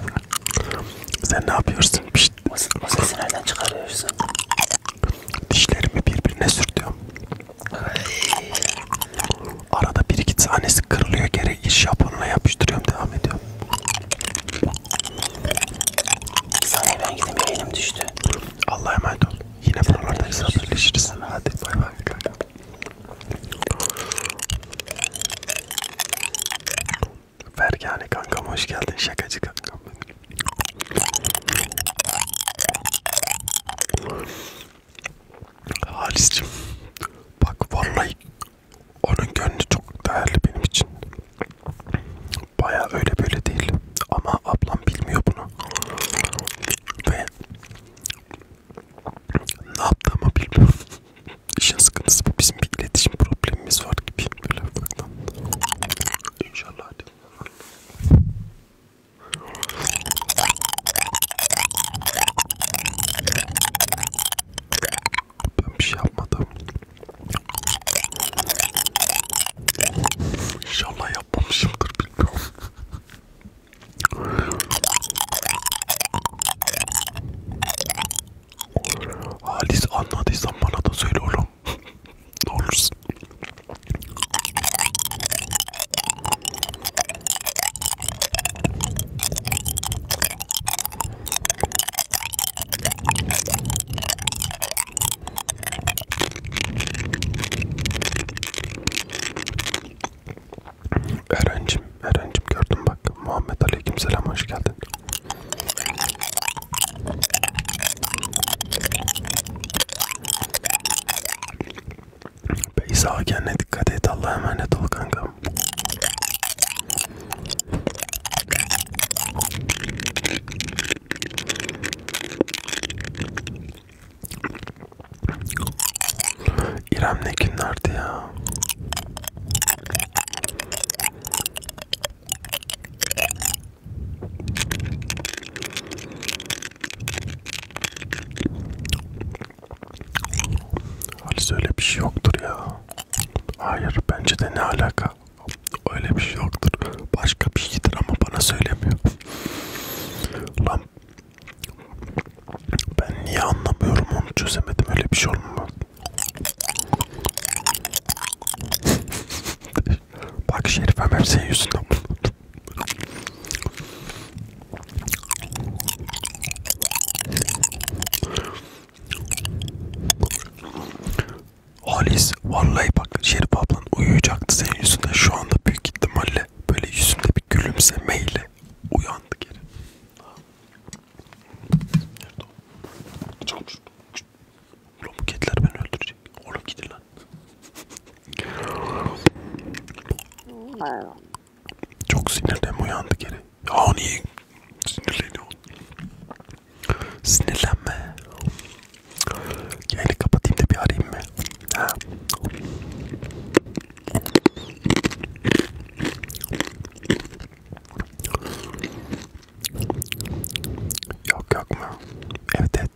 Sen ne yapıyorsun? Pişt. O sesi nereden çıkarıyorsun? Dişlerimi birbirine sürtüyorum. Ayy. Arada bir iki tanesi kırılıyor geri iş yapanına yapıştırıyorum devam ediyorum. Bir saniye ben gideyim elim düştü. Allah'a emanet ol. Yine buralardayız haberleşiriz. Hadi bay bay. Fergane kankam hoş geldin şakacı kankam. Halis'cim bak vallahi onun gönlü çok değerli benim için. Baya öyle böyle değil ama ablam bilmiyor bunu ve ne yaptığımı bilmiyorum. [laughs] İşin sıkıntısı bu bizim bir iletişim problemimiz var gibi. Çekin böyle ufaktan. İnşallah Ben bir şey yapmadım. İnşallah yapmamışımdır bilmiyorum. Halis anladıysan bana da söyle oğlum yapma. ne olursun. Erencim, Erencim gördüm bak. Muhammed Aleykümselam hoş geldin. Beyza kendine dikkat et Allah'a emanet ol kankam. İrem ne günlerdi ya. Halis öyle bir şey yoktur ya. Hayır bence de ne alaka. Öyle bir şey yoktur. Başka bir şeydir ama bana söylemiyor. Lan ben niye anlamıyorum onu çözemedim öyle bir şey olmaz. Bak Şerifem hep senin yüzünden Halis vallahi bak Şerif ablan uyuyacaktı senin yüzünden şu anda büyük ihtimalle böyle yüzünde bir gülümsemeyle uyandı geri. Nerede o? Çıkmış. Oğlum bu kediler beni öldürecek. Oğlum gidin lan. Çok sinirden uyandı geri. Ya niye sinirleniyor? Sinirlenme. Yayını kapatayım da bir arayayım mı? Ha. Yok yok mu? Evet evet.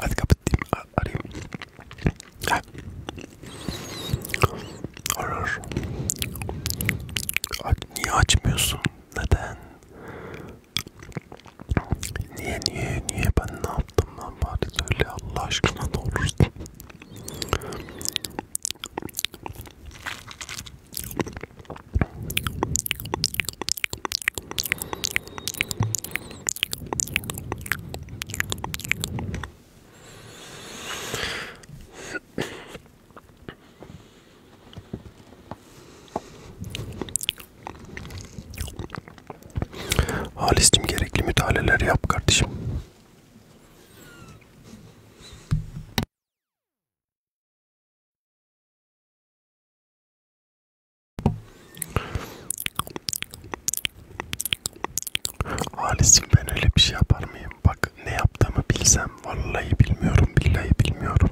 Hadi kapatayım arayayım. Ha. Arar. Niye açmıyorsun? Neden? Niye niye niye ben ne yaptım lan bari söyle Allah aşkına ne olursun. Halis'cim gerekli müdahaleler yap kardeşim. Halis'cim ben öyle bir şey yapar mıyım? Bak ne yaptığımı bilsem vallahi bilmiyorum billahi bilmiyorum.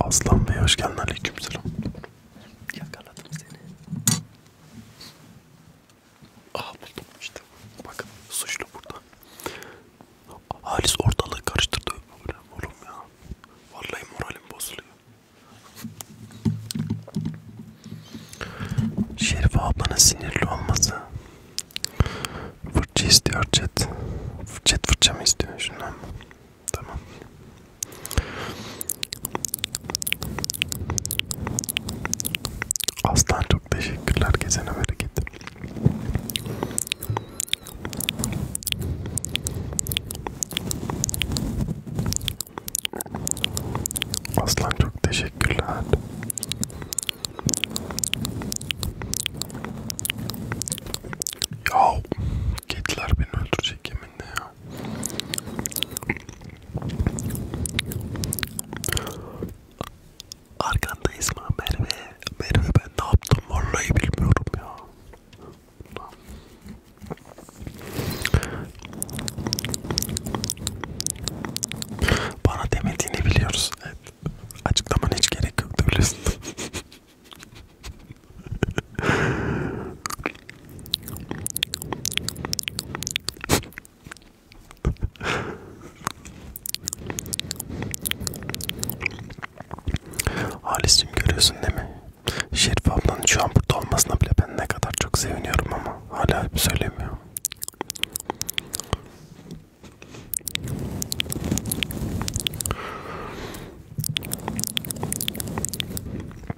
Aslan Bey hoş geldin aleykümselam. Yakaladım seni. Aha buldum işte. Bakın suçlu burada. Halis ortalığı karıştırdı. Oğlum ya. Vallahi moralim bozuluyor. Şerife ablanın sinirli olması. Fırça istiyor chat. Chat fırça mı istiyor şundan? Tamam. Aslan çok teşekkürler gezene bereket. Aslan çok teşekkürler. Ya kediler beni öldürecek yeminle ya. Arkandayız mı Merve? Merve ben ne yaptım vallahi bilmiyorum ya. Bana demediğini biliyoruz. Evet. Açıklaman hiç gerek yoktu biliyorsun. Halis'cim görüyorsun değil mi? Şerif ablanın şu an burada olmasına bile ben ne kadar çok seviniyorum ama hala söylemiyor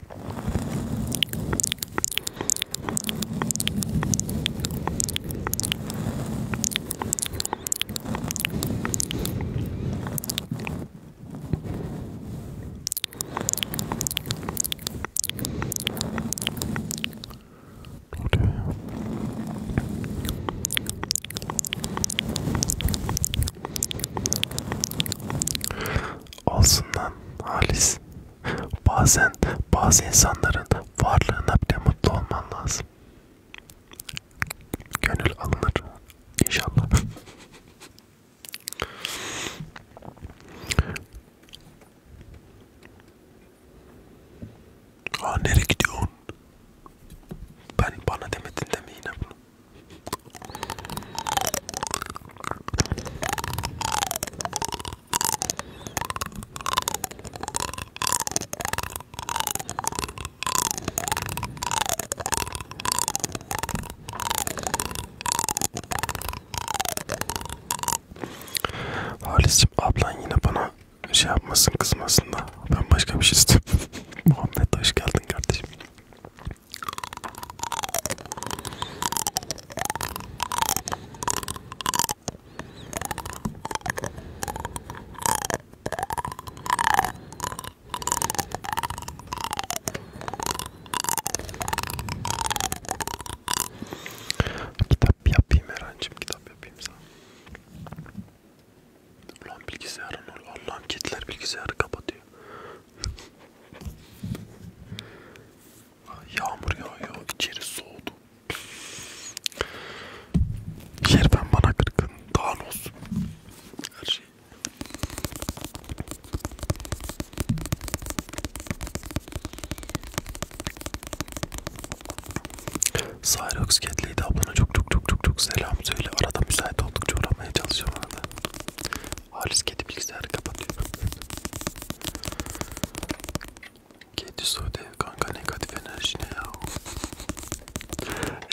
oluyor ya? Olsun lan Halis Bazen bazı insanların varlığına bile mutlu olman lazım. Gönül alınır inşallah. Aa nereye gidiyorsun? Ben bana demedin deme yine bunu. Halis'cim ablan yine bana şey yapmasın kızmasın da ben başka bir şey istiyorum. [laughs] Muhammed hoş geldin kardeşim. Kitap yapayım Erancığım, kitap yapayım sana. Ulan bilgisayarın ol, Allah'ım kediler bilgisayarı kapatıyor. Yağmur yağıyor, içeri soğudu. Şerben bana kırkın, Thanos. Her şey. Cyrox Cat'liydi ablana çok çok çok çok çok selam söyle. Arada müsait oldukça uğramaya çalışıyorum arada. Halis kedi bilgisayarı kapatıyor. Kedi Sude kanka negatif enerji ne ya?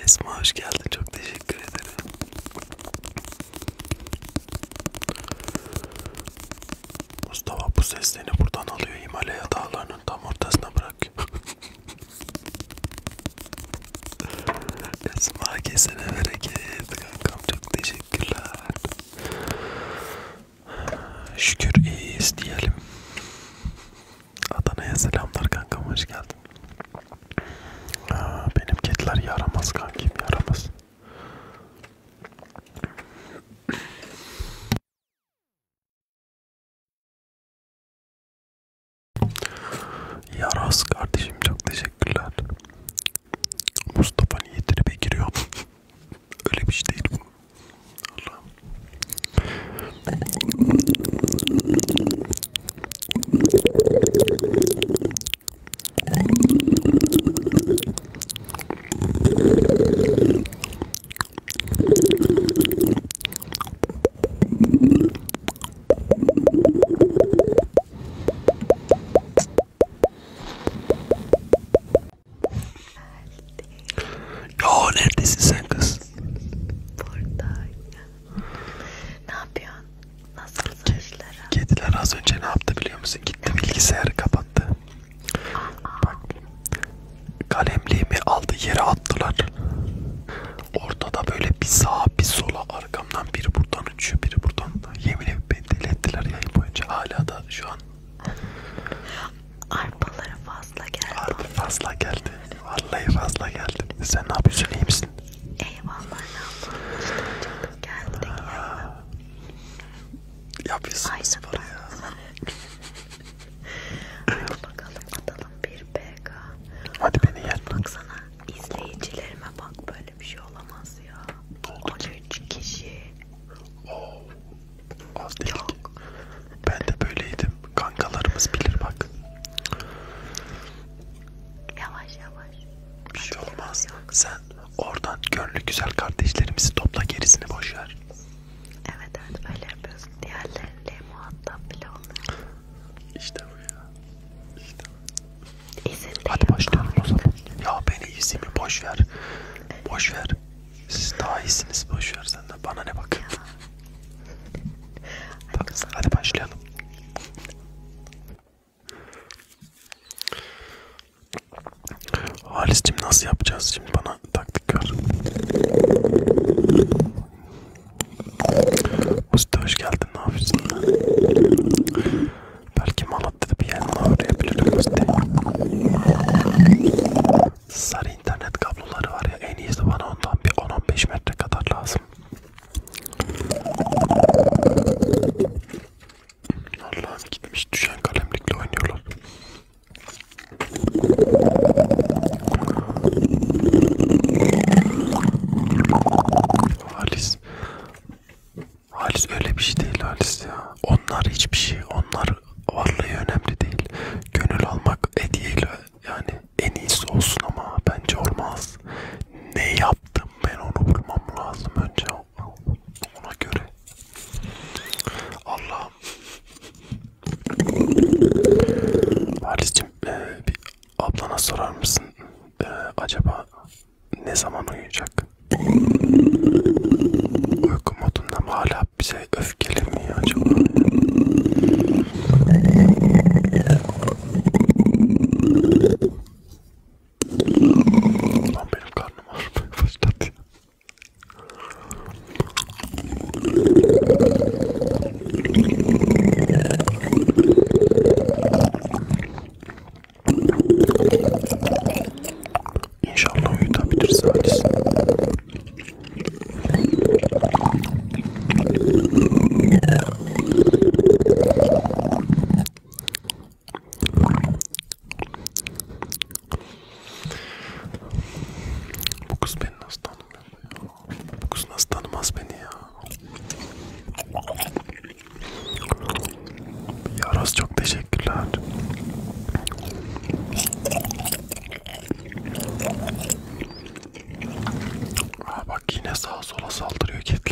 Esma hoş geldin çok teşekkür ederim. Mustafa bu seslerini buradan alıyor Himalaya dağlarının tam ortasına bırakıyor. Esma kesene bereket kankam çok teşekkürler. Şükür iyiyiz diyelim. Adana'ya selamlar kankam hoş geldin. Aa, benim kediler yaramaz kankim yaramaz. Yaras kardeşim çok teşekkürler. Mustafa niyetine bir giriyor. Öyle bir şey değil bu. Allah'ım. Ya neredesin sen kız? Buradayım. Ne yapıyorsun? Nasıl işler? Kediler az önce ne yaptı biliyor musun? Gitti bilgisayarı kapattı. Aa. Bak kalemliğimi aldı yere attılar. Ortada böyle bir sağa bir sola arkamdan biri buradan uçuyor biri buradan da. Yemin ederim beni deli ettiler yayın boyunca. Hala da şu an Arpaları fazla geldi. Arpa fazla geldi. Vallahi fazla geldi. Sen ne yapıyorsun? İyi misin? Eyvallah. İşte canım geldi. Yapıyorsun sporu ya. Hadi bakalım atalım bir BK. Hadi beni yer. Baksana izleyicilerime bak böyle bir şey olamaz ya. 13 kişi Oo, az değil ki. Ben de böyleydim. Kankalarımız bilir bak. Yavaş yavaş. Bir şey olmaz. Sen oradan gönlü güzel kardeşlerimizi topla gerisini boş ver. Evet evet öyle yapıyoruz. Diğerleriyle muhatap bile olmuyor. İşte bu ya. İşte bu. İzin Hadi başlayalım o zaman. Ya beni izimi boş ver. Boş ver. Siz daha iyisiniz boş ver sen de bana ne bak. Bak hadi başlayalım. Halis'cim nasıl yapacağız şimdi bana taktik ver. Usta hoş geldin ne yapıyorsun? Belki Malatya'da bir yanına uğrayabiliriz diye. Sarı internet kabloları var ya en iyisi bana ondan bir 10-15 metre kadar lazım. Allah'ım gitmiş düşen kalemlikle oynuyorlar. Halis Halis öyle bir şey değil Halis ya. Onlar hiçbir şey. Onlar varlığı önemli değil. Gönül almak hediyeyle yani en iyisi olsun ama bence olmaz. Ne yaptım ben onu bulmam lazım önce ona göre. Allah'ım. Halis'cim e, bir ablana sorar mısın? E, acaba ne zaman uyuyacak? Uyku modunda mı hala bize öfkeli mi acaba? Lan benim karnım ağrımaya başladı ya. İnşallah uyutabiliriz Halis. Bu kız beni nasıl tanımıyor ya? Bu kız nasıl tanımaz beni ya? Yaros çok teşekkürler. Aa bak yine sağa sola saldırıyor kediler.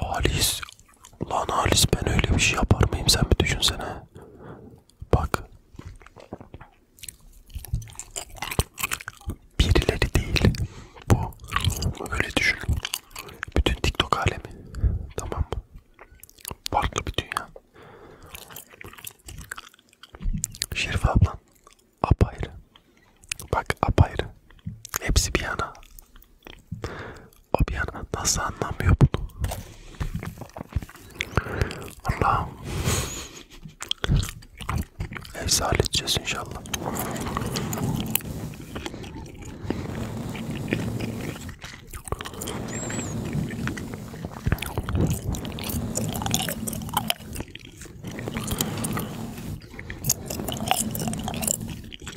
Halis. Lan Halis ben öyle bir şey yapar mıyım sen bir düşünsene. Bak. Birileri değil. Bu. Öyle düşün. Bütün TikTok alemi. Tamam mı? Farklı bir dünya. Şerif ablan. Apayrı. Bak apayrı. Hepsi bir yana. O bir an nasıl anlamıyor bunu? Allah'ım. Neyse halledeceğiz inşallah. Öğrencim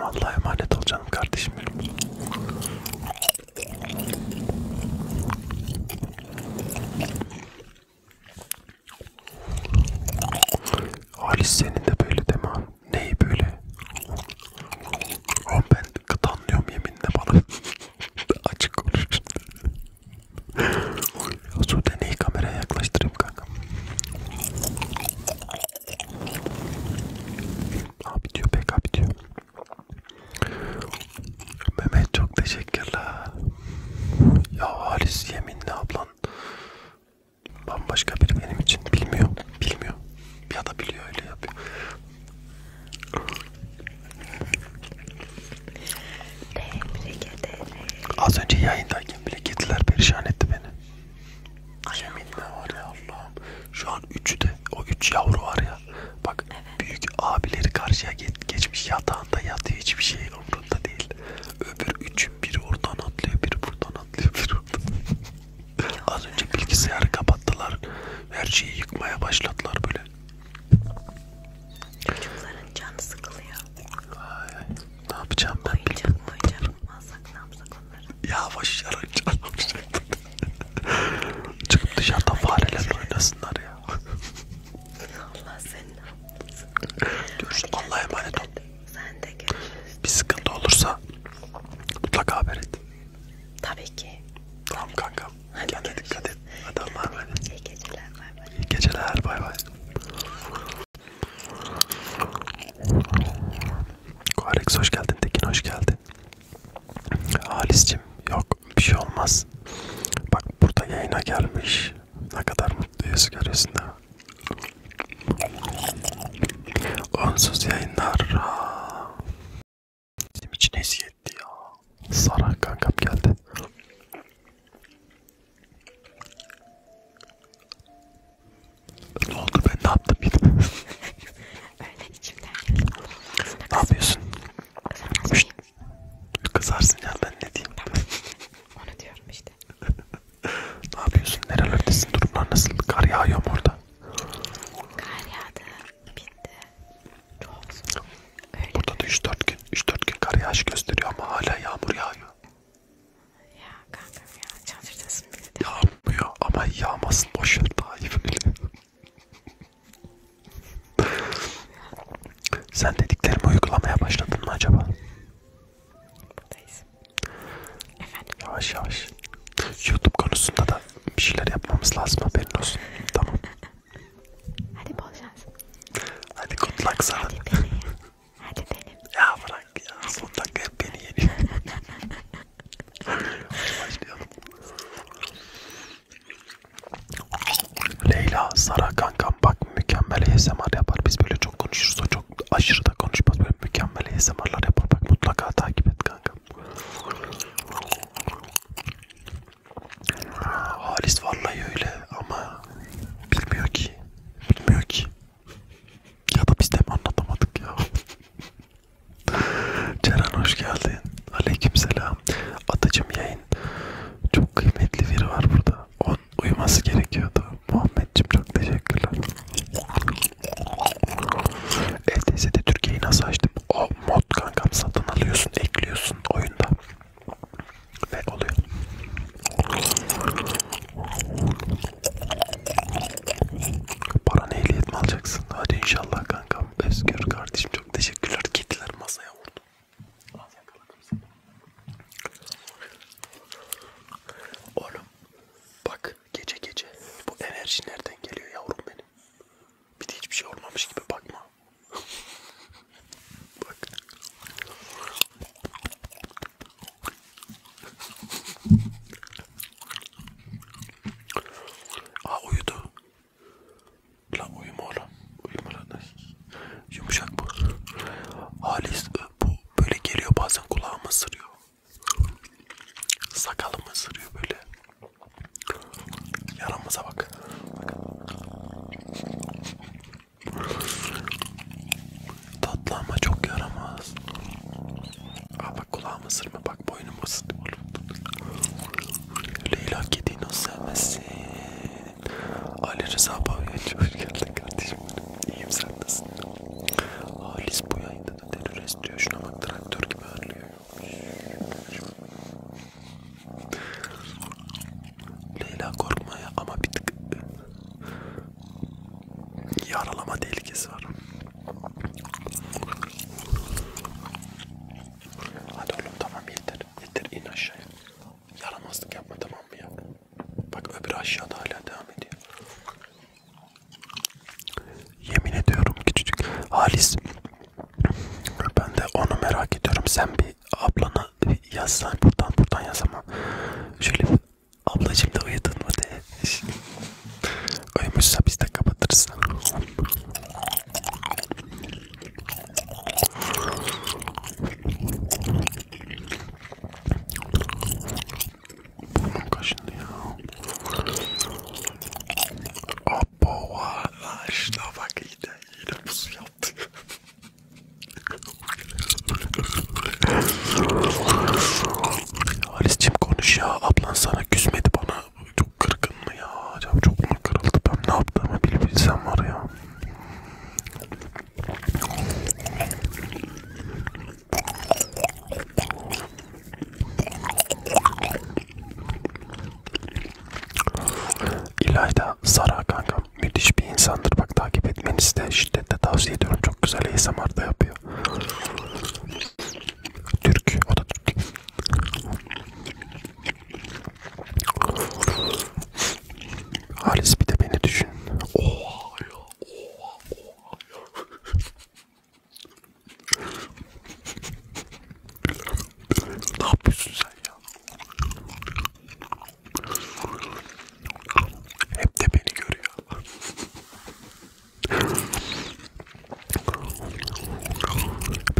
Allah'a emanet ol canım kardeşim benim. Halis senin de böyle deme ha. Neyi böyle? Oğlum ben gıdanlıyorum yeminle bana. [laughs] Açık konuş. Sude neyi kameraya yaklaştırayım kanka? Abi diyor pek abi diyor. Mehmet çok teşekkürler. Ya Halis yeminle ablan Bambaşka biri benim için. Bilmiyor. Bilmiyor. Ya da biliyor öyle yapıyor. Az önce yayındayken bile kediler perişan etti beni. Yeminle var ya Allah'ım. Şu an üçü de o üç yavru var ya. Bak evet. büyük abileri karşıya geçmiş yatağında yatıyor hiçbir şey umrunda değil. Öbür üç çünkü biri oradan atlıyor, biri buradan atlıyor, biri oradan. Az önce bilgisayarı kapattılar. Her şeyi yıkmaya başladılar böyle. Çocukların canı sıkılıyor. Ay, ne yapacağım ben? Oyuncak mı oyuncak mı alsak ne yapsak onları? Ya baş yarar canım. Çıkıp dışarıda farelerle oynasınlar ya. [laughs] Allah senin. Görüşürüz. Allah'a emanet ol. Sen de görüşürüz. Bir sıkıntı olursa mutlaka haber et. Tabii ki. Tamam kankam. Hadi Kendine görüşürüz. dikkat et. Hadi Allah'a emanet. İyi geceler. Bay bay. İyi geceler. Bay bay. Koarex hoş geldin. Tekin hoş geldin. Halis'cim yok bir şey olmaz. Bak burada yayına gelmiş. Ne kadar mutluyuz görüyorsun ha. Onsuz yayınlar. Bizim için eziyetti ya. Sara kankam geldi. Ne oldu ben ne yaptım yine? [laughs] Öyle içimden geldi. Ne yapıyorsun? Kızarsın ya ben ne diyeyim? Tamam. [laughs] Onu diyorum işte. [laughs] ne yapıyorsun? Nerelerdesin? Durumlar nasıl? Kar yağıyor mu orada? Kar yağdı. Bitti. Çok soğuk. Burada da 3-4 gün, 3-4 gün kar yağışı gösteriyor ama hala yağmur yağıyor. Ya kankam ya çadırdasın bile de. Yağmıyor ama yağmasın boşver daha iyi böyle. [laughs] Sen dediklerimi uygulamaya başladın mı acaba? Buradayız. Efendim? Yavaş yavaş. YouTube konusunda da bir şeyler yapmamız lazım haberin olsun. Tamam. [laughs] Hadi bol şans. Hadi good luck sana. Hadi benim. Hadi benim. [laughs] Ya bırak ya. Son dakika hep beni yeniyor. Başlayalım. Leyla, Sara kankam bak mükemmel ASMR yapar. Biz böyle çok konuşuruz çok aşırı da konuşmaz böyle mükemmel ASMR'lar yapar bak mutlaka takip et kanka. Halis vallahi öyle ama bilmiyor ki, bilmiyor ki. Ya da biz de mi anlatamadık ya? [laughs] Ceren hoş geldin. Aleykümselam. Atacım yayın. Çok kıymetli biri var burada. On uyuması gerekiyordu. Muhammedciğim çok teşekkürler. LTS'de e, Türkiye'yi nasıl açtım? O mod kankam satın alıyorsun, ekliyorsun oyunda. Ve oluyor. Paranı ehliyet mi alacaksın? Hadi inşallah kankam. Özgür kardeşim çok teşekkürler. Kediler masaya vurdu. Az yakaladım seni. Oğlum Bak gece gece bu enerji nereden geliyor yavrum benim? Bir de hiçbir şey olmamış gibi bakma. [laughs] Bak. Aa uyudu. Lan uyuma oğlum. Uyuma lan. Yumuşak bu. Halis bu böyle geliyor bazen kulağıma sırıyor. Sakalımı ısırıyor böyle. Yaramıza bak. Tatlı ama çok yaramaz. Aa bak kulağımı ısırma bak boynumu ısırdı oğlum. Leyla kediyi nasıl sevmezsin? Ali Rıza Pavya'ya hoş geldin kardeşim. İyiyim sen nasılsın? Halis bu yayında da terörist diyor. Şuna bak traktör gibi ağırlıyor. Leyla korkma ya ama bir tık e, yaralama tehlikesi var. Hadi oğlum tamam yeter. Yeter in aşağıya. Yaramazlık yapma tamam mı ya? Bak öbür aşağıda hala devam ediyor. Yemin ediyorum ki çocuk Halis ben de onu merak ediyorum. Sen bir ablana yazsan buradan buradan yazama. Şöyle bir ablacım da uyudun mu de. Uyumuşsa biz de kapatırız. Kaşındı ya. Abo valla bak yine, yine pusu yaptı. Halis'cim konuş ya. Ablan sana küsmedi bana. Çok kırgın mı ya? Acaba çok mu kırıldı? Ben ne yaptığımı bilebilsem var ya. İlayda Sara kanka müthiş bir insandır. Bak takip etmenizi de şiddetle tavsiye ediyorum. Çok güzel ASMR'da yapıyor. Türk, o da Türk. Halis bir de beni düşün. Oha ya, oha, oha ne yapıyorsun sen ya? Hep de beni görüyor.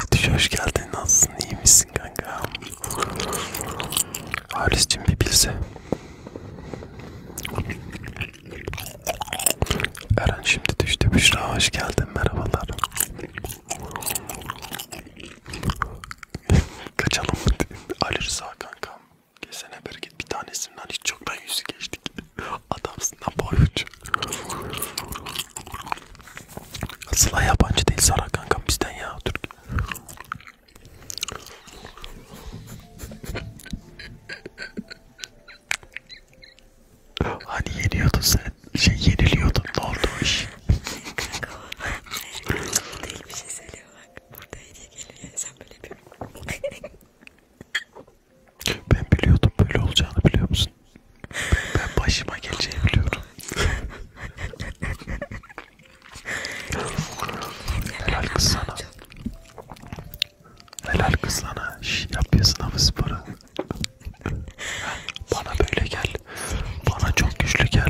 Bitiş hoş geldin. Nasılsın? İyi misin kanka? Halis'cim bir bilse. Eren şimdi düştü. Büşra hoş geldin. Merhabalar. [laughs] Kaçalım mı? Ali Rıza kankam. Kesene bir git. Bir tanesinden hiç çoktan yüzü geçtik. Adamsın lan boyunca. Sıla yabancı değil Sara kankam bizden ya. Türk. Hani yeniyordun sen, şey yeniliyordun, ne oldu o iş? Kanka o, her değil bir şey söylüyor bak, burada hediye geliyor, sen böyle yapıyorsun. ben biliyordum böyle olacağını biliyor musun? Ben başıma geleceğini biliyorum. Helal kız sana. Helal kız lan Şş, yap ya sınavı sporu. [laughs] Bana böyle gel. Bana çok güçlü gel.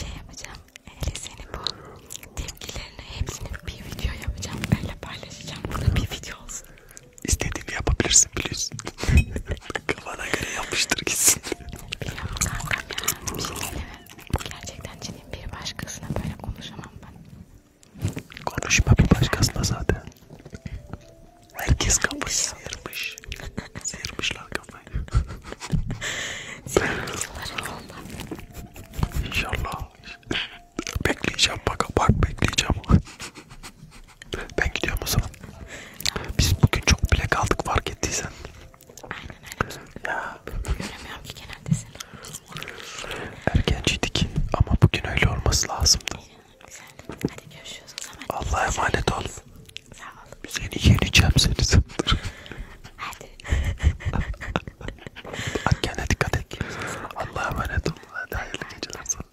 Şey yapacağım. Hele senin bu tepkilerini hepsini bir video yapacağım. Böyle paylaşacağım. Burada bir video olsun. İstediğimi yapabilirsin biliyorsun. [laughs] Kafana göre yapıştır gitsin. Ya kankam ya. Bir şey diyeyim mi? Gerçekten ciddiyim. Bir başkasına böyle konuşamam ben. Konuşma bir başkasına zaten. Herkes kafayı sıyırmış. Sıyırmışlar kafayı. İnşallah. Bekleyeceğim bak bak bekleyeceğim. ben gidiyorum o zaman. Biz bugün çok bile kaldık fark ettiysen. Aynen aynen. Ya. Göremiyorum ki genelde seni. Ergenciydik ama bugün öyle olması lazımdı. Güzel. Hadi görüşürüz o zaman. Allah'a emanet ol. Sağ ol. Seni yeneceğim seni saptır. Hadi. [laughs] Hadi kendine dikkat et. Allah'a emanet ol. Hadi hayırlı geceler sana.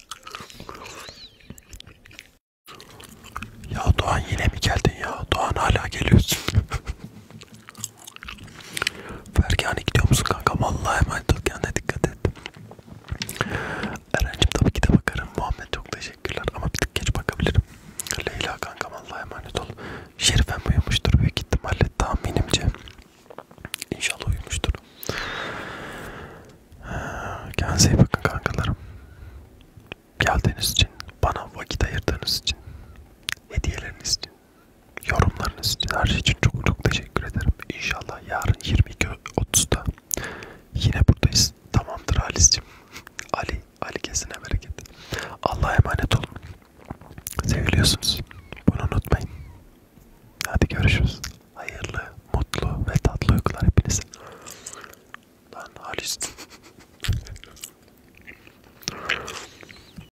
Ya Doğan yine mi geldin ya? Doğan hala geliyorsun. [laughs] Fergani gidiyor musun kanka? Vallahi hemen dur kendine dikkat et. Eren'cim tabii ki de bakarım. Muhammed çok teşekkürler ama bir tık geç bakabilirim. Leyla kanka vallahi emanet ol. Şerifem uyumuştur büyük ihtimalle tahminimce. İnşallah uyumuştur. Kendinize iyi bakın kankalarım. Geldiğiniz için, bana vakit ayırdığınız için, hediyeleriniz için Yorumlarınız için her şey için çok çok teşekkür ederim. İnşallah yarın 22.30'da yine buradayız. Tamamdır Ali'cim. [laughs] Ali, Ali kesine bereket. Allah'a emanet olun. Seviliyorsunuz. Bunu unutmayın. Hadi görüşürüz. Hayırlı, mutlu ve tatlı uykular hepinize. Lan Ali'cim. [laughs]